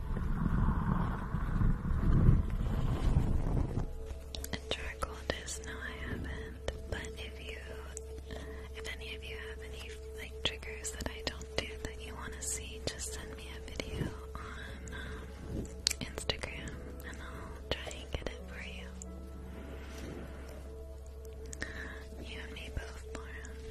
And charcoal disc, no I but if you, if any of you have any like triggers that I don't do that you want to see, just send me a video on um, Instagram and I'll try and get it for you. You and both, Lauren.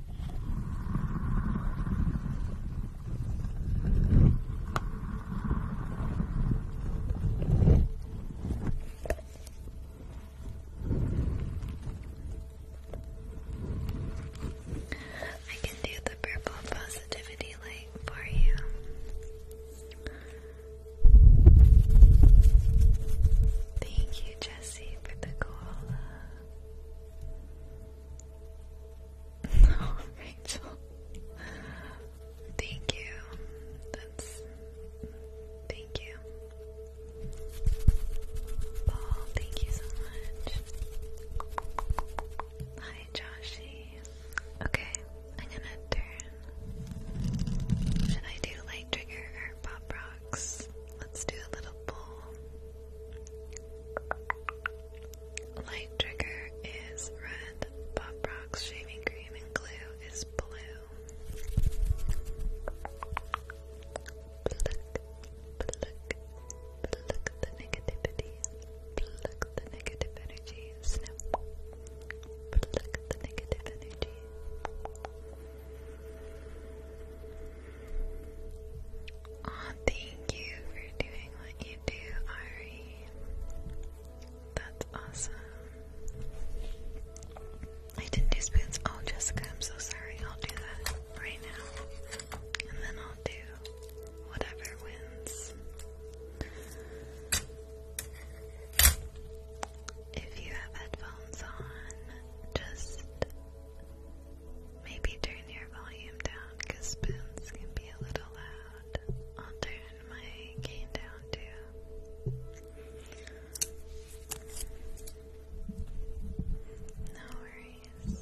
I can do the purple positivity light for you. Thank you, Jesse, for the koala. Oh, Rachel. Thank you. That's thank you. Paul, thank you so much. Hi Joshi. Okay, I'm gonna turn. Should I do light trigger or pop rock? Let's do a little bowl. Light trigger is red. Pop rocks shaving cream and glue is blue. Pluck, pluck, pluck the negativity. Pluck the negative energy. Snip. Pluck the negative energy. Aw, oh, thank you for doing what you do, Ari. That's awesome. I didn't do spoons. Oh, Jessica, I'm so sorry. I'll do that right now. And then I'll do whatever wins. If you have headphones on, just Maybe turn your volume down because spoons can be a little loud. I'll turn my gain down too. No worries.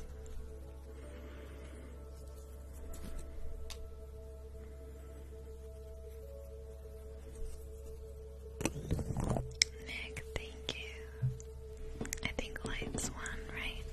Nick, thank you. I think light's one, right?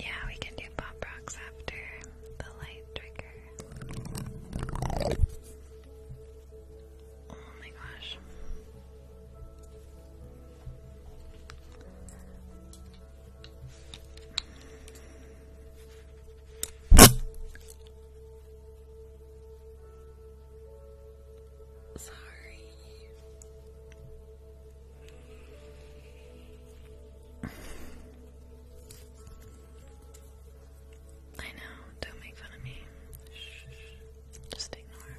Yeah, we can do pop rocks after the light trigger. Oh my gosh. Sorry. I know, don't make fun of me. Shh, just ignore.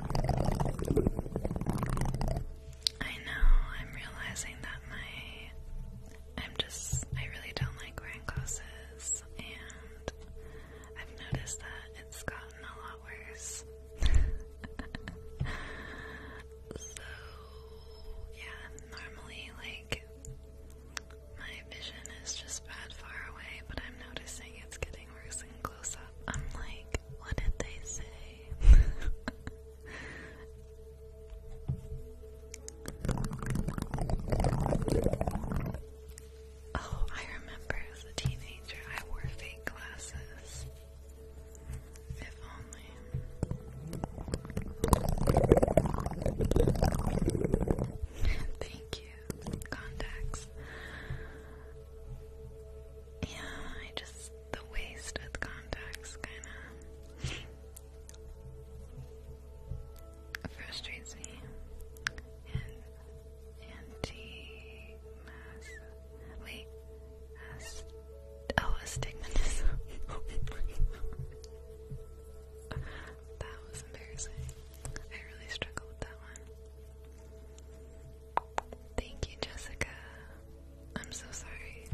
I know, I'm realizing that my I'm just I really don't like wearing glasses and I've noticed that it's gotten a lot worse. (laughs) so yeah, normally like my vision is just bad far away, but I'm noticing it's getting worse and I'm like, what did they say? (laughs) oh, I remember as a teenager I wore fake glasses. If only. Thank you, contacts. Yeah, I just the waist with kinda frustrates me. anti mass wait ast oh astigmatism. (laughs) that was embarrassing. I really struggled with that one. Thank you, Jessica. I'm so sorry.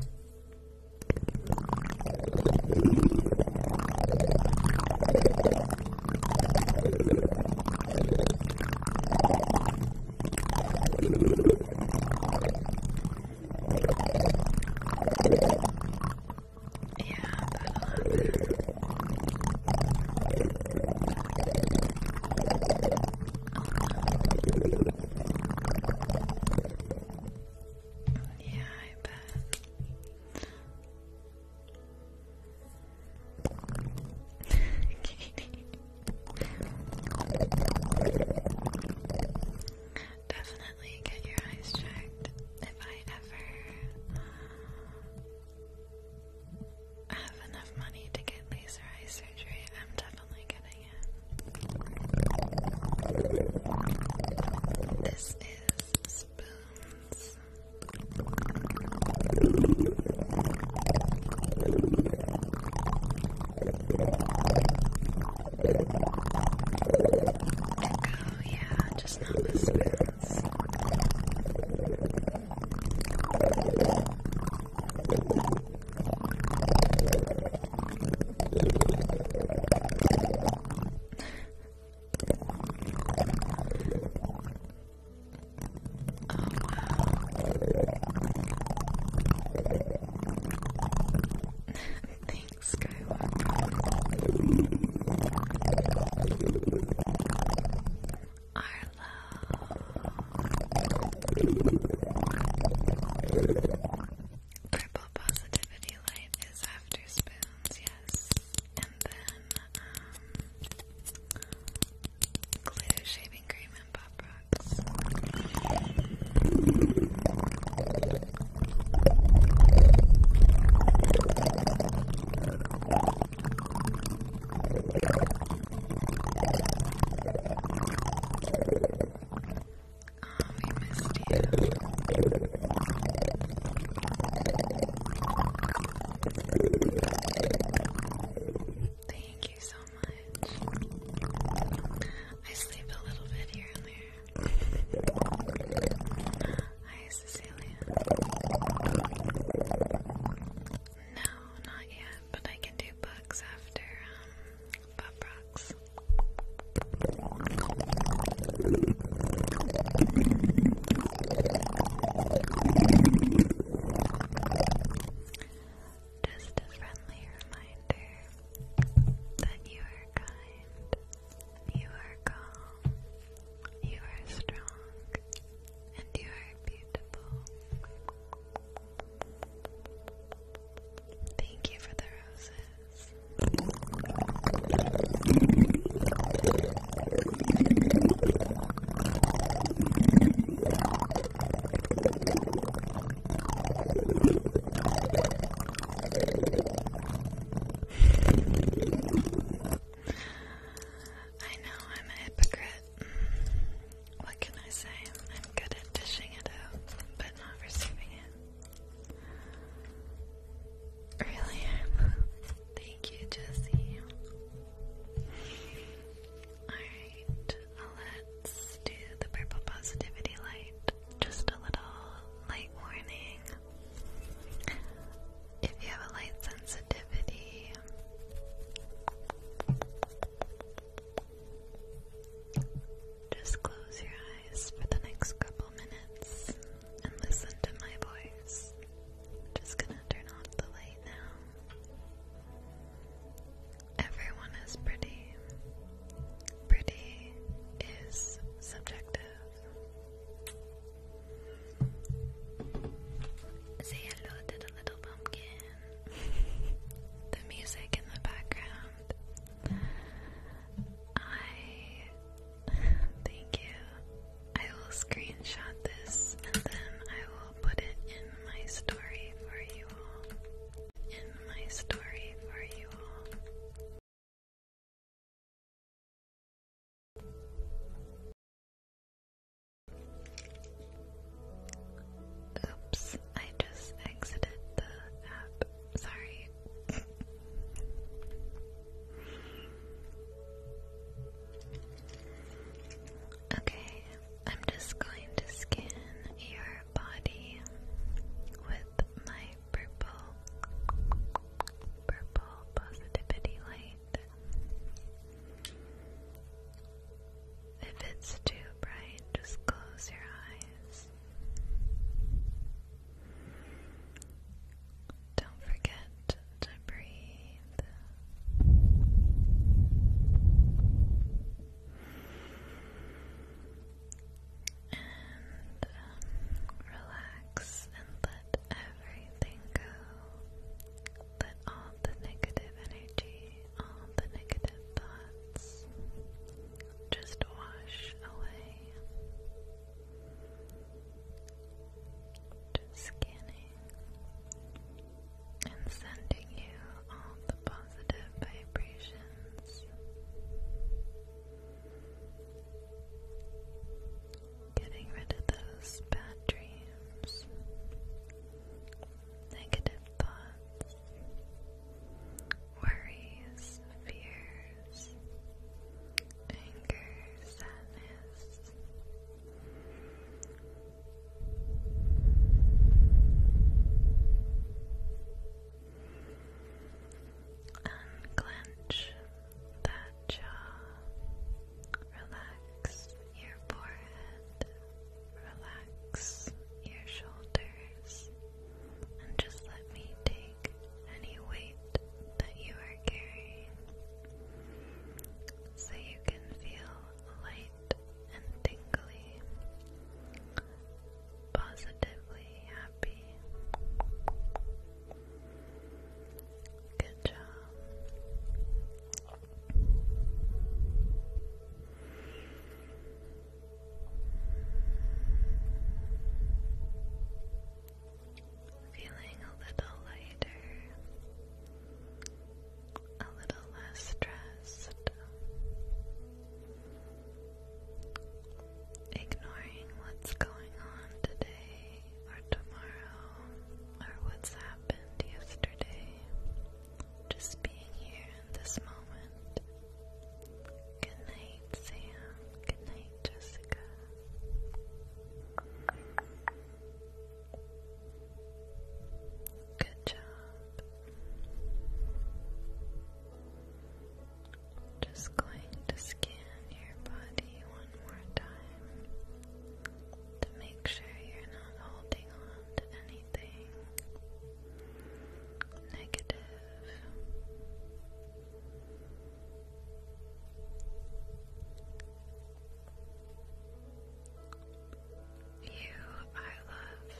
Yeah, that'll happen. Yeah, I bet. (laughs) Definitely get your eyes checked. If I ever I have enough money to get laser eye surgery. I'm definitely getting it. This is spoons. Echo, yeah, just not spoons. Thanks, go. Arlo. Purple positivity light is after spoons, yes. And then, um, glue, shaving cream, and pop rocks we missed you. Thank you so much. I sleep a little bit here and there. Hi, Cecilia. No, not yet but I can do bugs after um, Rocks. Just a friendly reminder that you are kind, you are calm, you are strong, and you are beautiful. Thank you for the roses. I know I'm a hypocrite what can I say? I'm good at dishing it out, but not receiving it. Really? (laughs) Thank you, Jesse. Alright, let's do the purple positivity light. Just a little light warning. If you have a light sensitivity, just close your eyes for the next couple minutes and listen to my voice. Just gonna turn off the light now. Everyone is pretty. Pretty is subjective. Say hello to the little pumpkin the music in the background. I thank you. I will screenshot this and then I will put it in my story for you all. In my story for you all. Oops, I just exited the app. Sorry. okay, I'm just going to scan your body with my purple purple positivity light. If it's too bright, just close your eyes. Don't forget to breathe. And um, relax and let everything go that all the negative energy, all the negative thoughts just wash away. Just scanning and sending you all the positive vibrations. Getting rid of those bad dreams, negative thoughts, worries, fears, anger, sadness. Unclench that jaw, relax your forehead, relax your shoulders, and just let me take any weight that you are carrying so you can feel light and tingly, positively happy. Good job. Feeling a little lighter, a little less stressed, ignoring what's going on today or tomorrow or what's happened yesterday. Just being here in this moment. Good night, Sam. Good night, Jessica. Good job. Just going to scan your body one more time to make sure you're not holding on to anything negative. You are loved.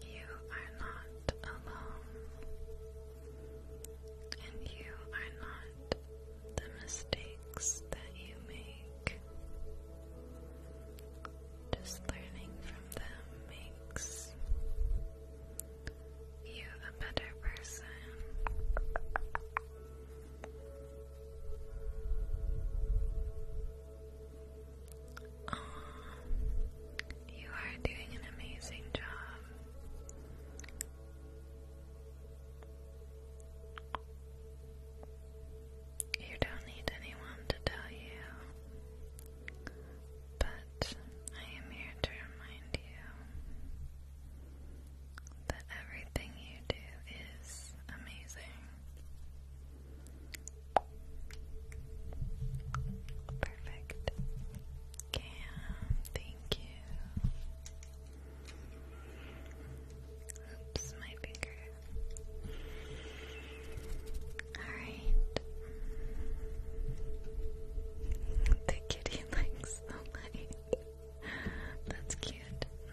You are not alone. And you are not the mistakes that you make. Just learning from them makes you a better person. you are doing an amazing job. You don't need anyone to tell you, but I am here to remind you that everything you do is amazing. Perfect. Cam, thank you. Oops, my finger. Alright. The kitty (laughs) likes the light. That's cute.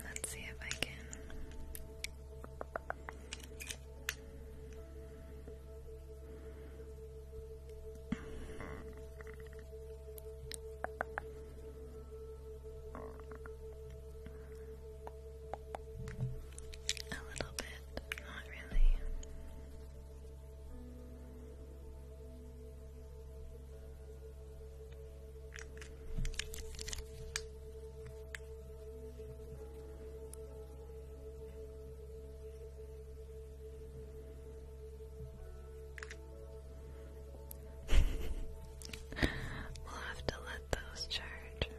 Let's see if I can. A little bit, not really we'll have to let those charge.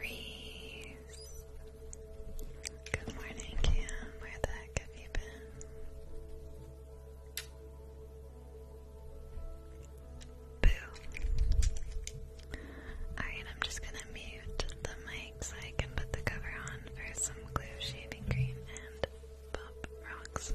Reese. Good morning, Cam. Where the heck have you been? Boo. Alright, I'm just gonna mute the mic so I can put the cover on for some glue shaving cream and pop rocks.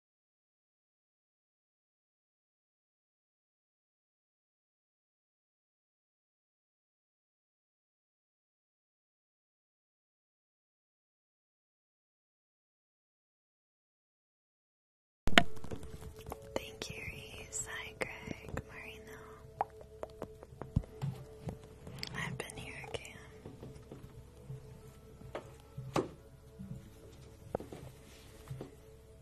Thank you, Reese. Hi, Marino. I've been here again.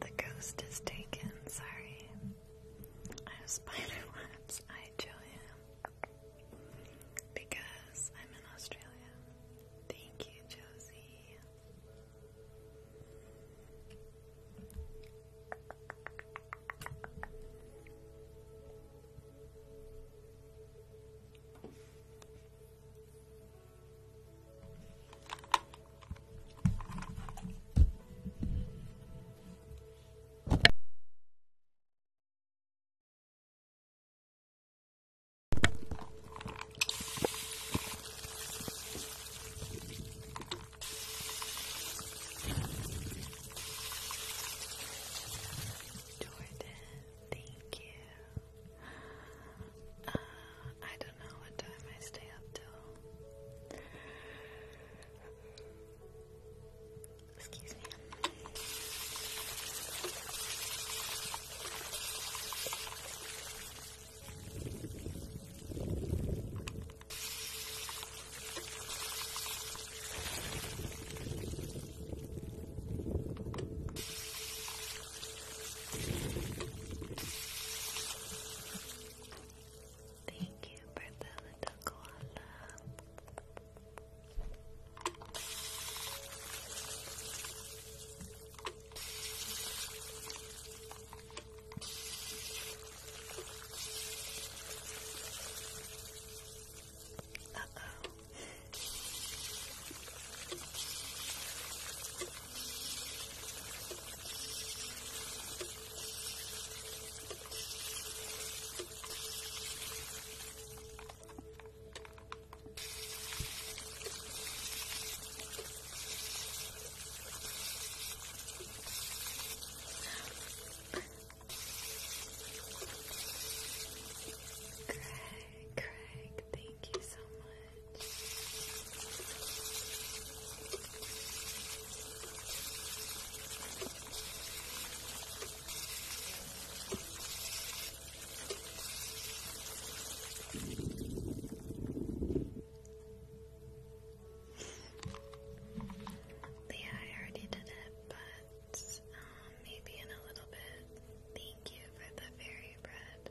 The ghost is taken, sorry. I have spider (laughs) webs. I Julia. Because I'm in Australia. Thank you, Josie. Jordan, thank you. Uh, I don't know what time I stay up till. Excuse me. Thank you for the little Uh oh. Craig, Craig, thank you so much. Leah, I already did it, but um, maybe in a little bit. Thank you for the fairy bread.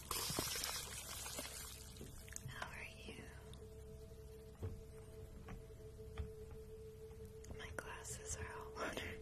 how are you? My glasses are all (laughs)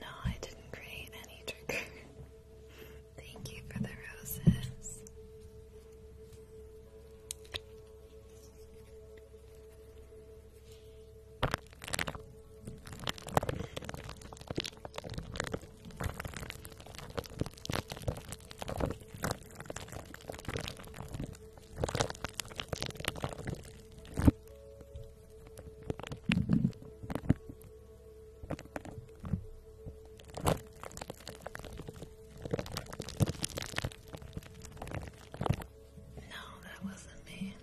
No, I didn't create any trigger. (laughs) Thank you for the roses. No, that wasn't me. (laughs)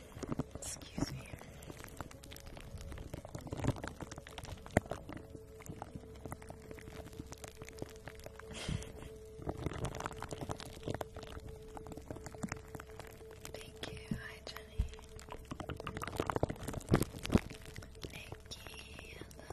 Excuse me. Thank you. Hi, Jenny. Nikki, hello.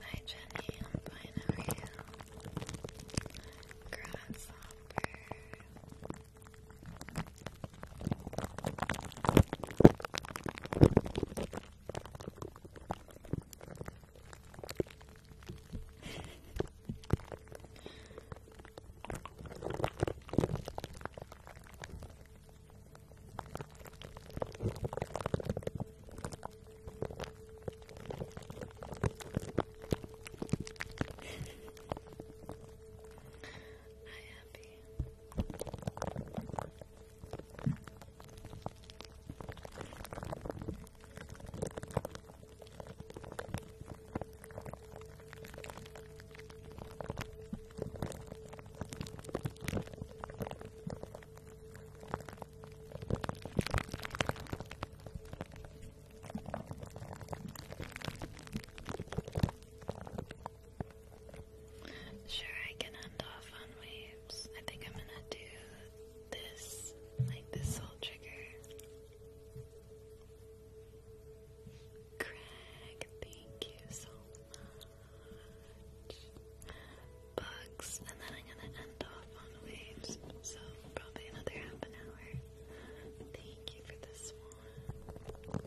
Hi Jenny, I'm fine, how are you? Grasshopper. Hi, happy. Sure, I can end off on waves. I think I'm gonna do this, like this whole trigger. Greg, thank you so much. Bugs, and then I'm gonna end off on waves, so probably another half an hour. Thank you for this one.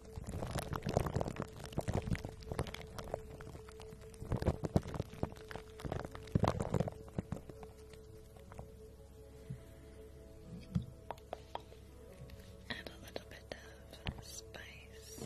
Add a little bit of spice.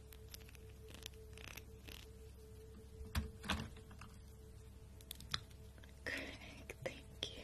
Greg, thank you.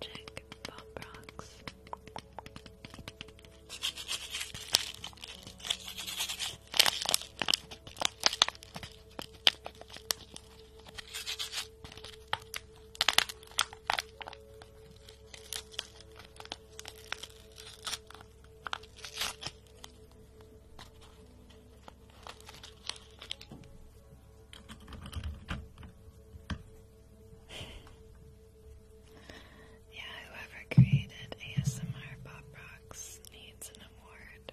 Magic Bob Rocks. (sighs) yeah, whoever created ASMR Pop Rocks needs an award.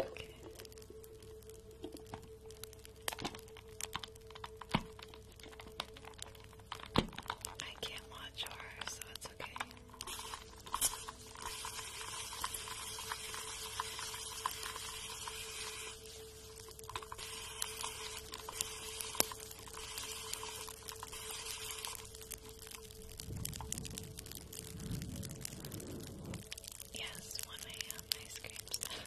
okay. I can't watch her, so it's okay. Yes, one AM ice cream snack.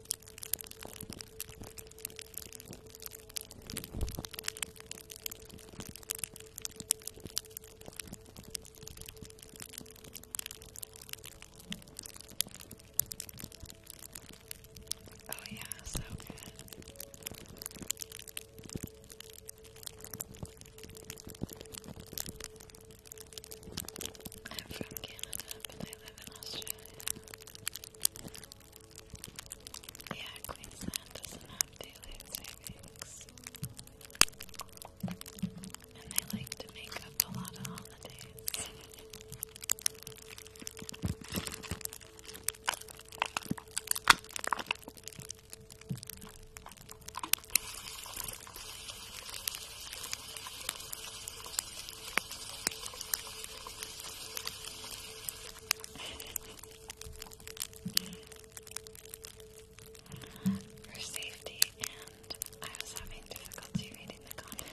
Oh, yeah, so I'm from Canada, but I live in Australia. Yeah, Queensland doesn't have daylight savings. And they like to make up a lot of holidays. (laughs) For safety, and I was having difficulty reading the comments.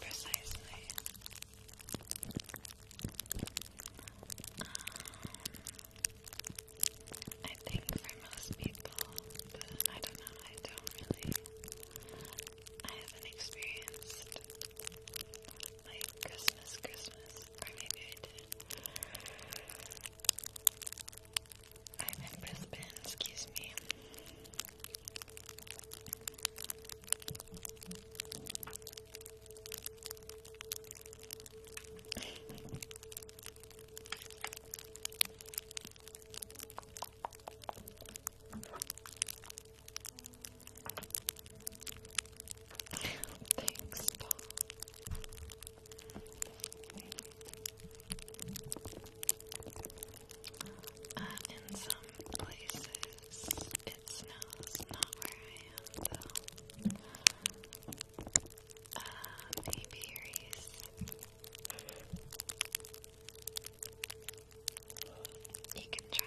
Precisely. Um, I think for most people, I don't know, I don't really. I haven't experienced like Christmas, Christmas, or maybe I did. I'm in Brisbane, excuse me. (laughs) Thanks, Paul. Uh, in some places it not where I am uh, maybe Reese. can try.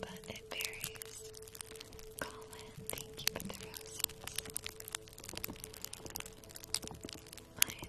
But it varies. Colin, thank you for the roses. I had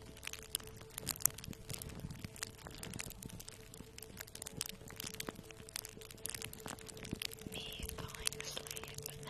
Me falling asleep never.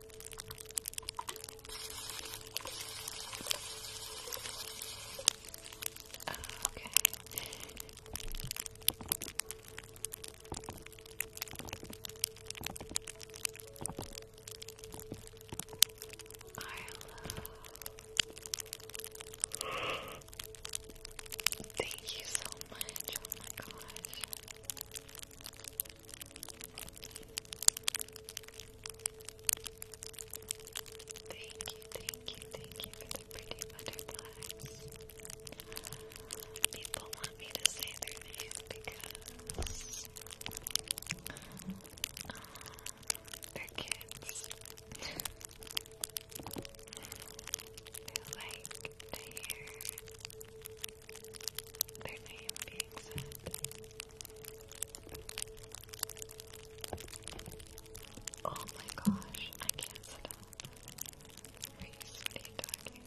Okay. I love (gasps) Thank you so much. Oh my gosh. Thank you, thank you, thank you for the pretty butterflies. People want me to say their name because uh, they're kids. (laughs) they like to hear their name being said. Oh my gosh, I can't stop. Reese, what you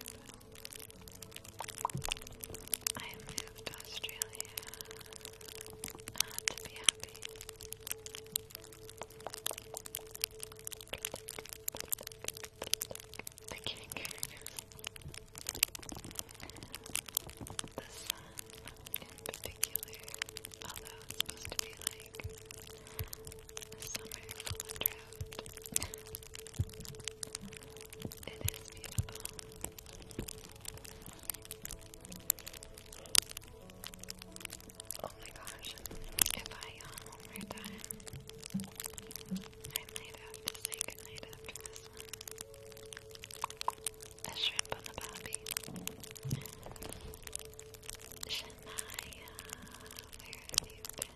I moved to Australia uh, to be happy the kitty characters. The sun in particular, although it's supposed to be like summer full of drought. it is beautiful. Oh my gosh, if I yawn um, one time, I might have to say goodnight after this one. A shrimp on the bobby. Shania, where have you been?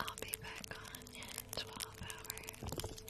I'll be back on in 12 hours.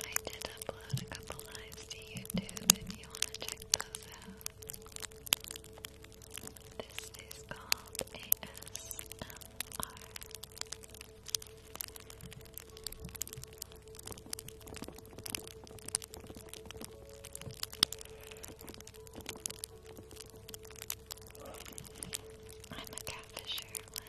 I did upload a couple lives to YouTube if you want to check those out. This is called ASMR. I'm a catfisher, what,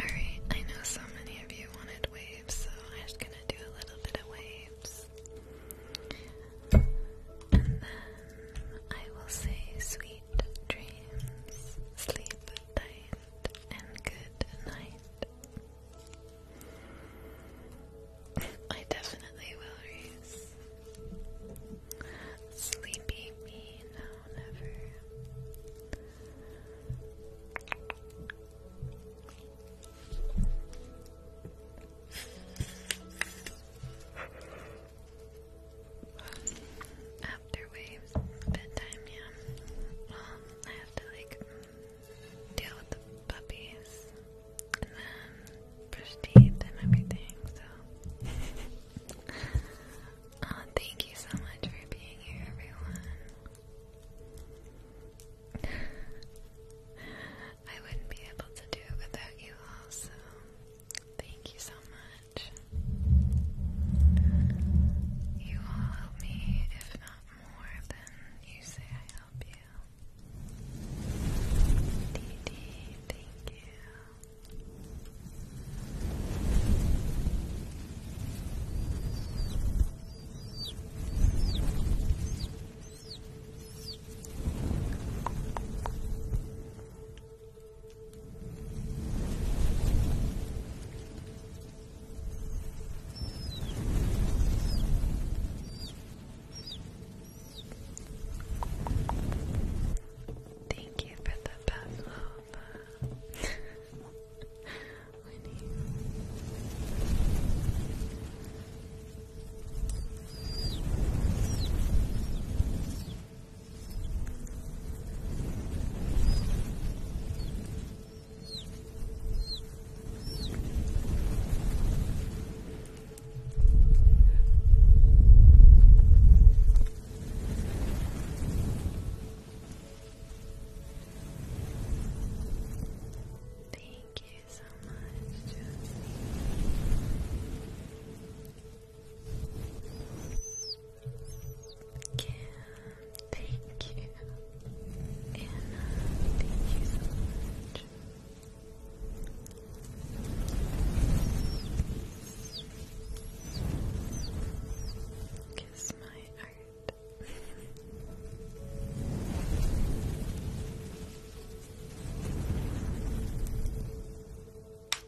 Alright, I know so many of you wanted waves, so I'm just gonna do a little bit of waves. And then I will say sweet dreams, sleep tight and good night. I definitely will, Reese. Sleepy me, no, never after waves, bedtime, yeah. Um, I have to like deal with the puppies and then brush teeth and everything, so. (laughs) Uh, thank you so much for being here, everyone. (laughs) I wouldn't be able to do it without you all, so thank you so you all help me, if not more than you say I help you. Dee thank you. Thank you for the Pavlova. Winnie. Thank you so much, Josie. Yeah, thank you. Anna, thank you so much. Kiss my heart. (laughs)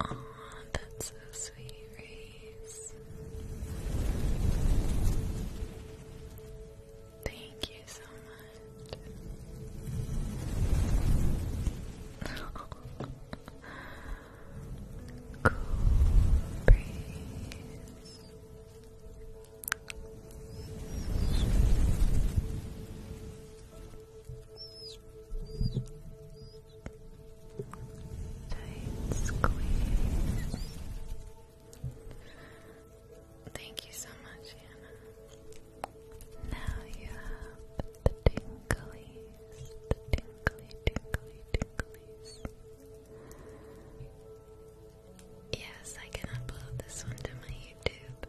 Aw, that's so sweet, Reese. Thank you so much. (laughs) cool breeze. Thank you so much, Hannah. Now you have the tinglies, the tingly, tingly, tinglies. Yes, I can upload this one to my YouTube.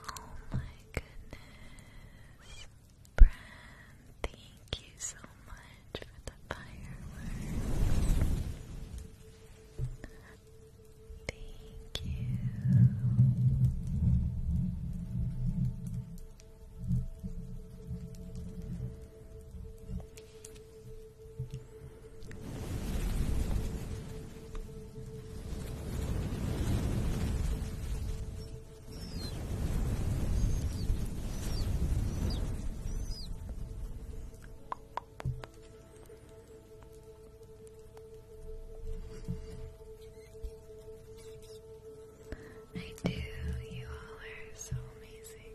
Oh my goodness. Brand, thank you so much for the fireworks. Thank you. I do, you all are so amazing.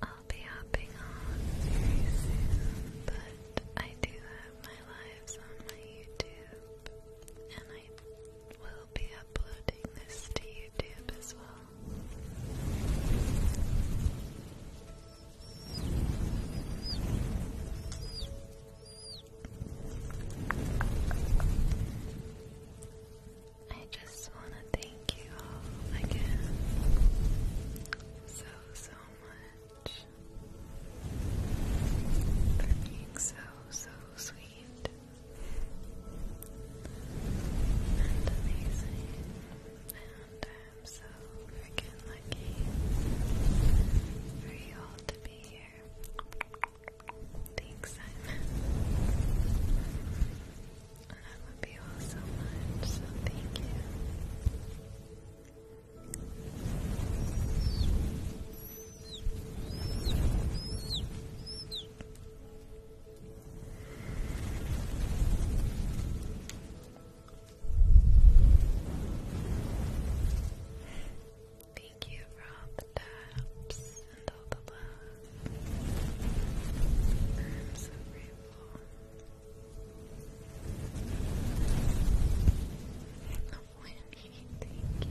I'll be hopping on soon, but I do have my lives on my YouTube, and I will be uploading this to YouTube as well. I just want to thank you all again so, so much for being so, so sweet and amazing. And I'm so freaking lucky for you all to Thanks, Simon. I love you all so much, so thank you. Thank you for all the taps and all the love. I'm so grateful. Winnie, thank you.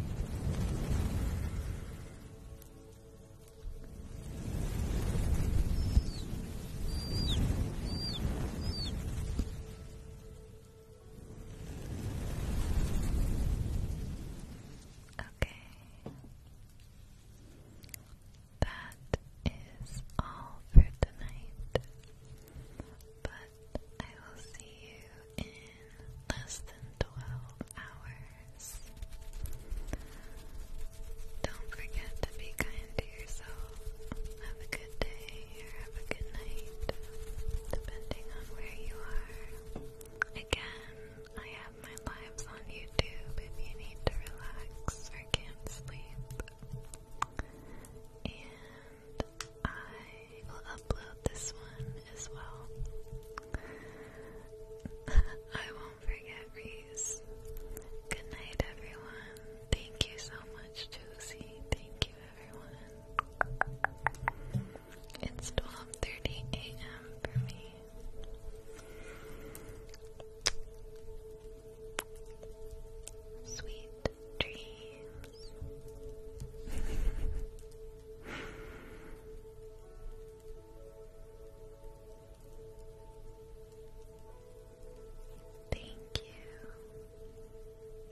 Okay. That is all for tonight. But I will see you in less than 12 hours. Don't forget to be kind to yourself. Have a good good day or have a good night, depending on where you are. Again, I have my lives on YouTube if you need to relax or can't sleep. And I will upload this one as well. (laughs) I won't forget Reese. Good night, everyone. Thank you so much, Josie. Thank you, everyone. It's 12:30 a.m. for me. Sweet dreams. (laughs) Thank you.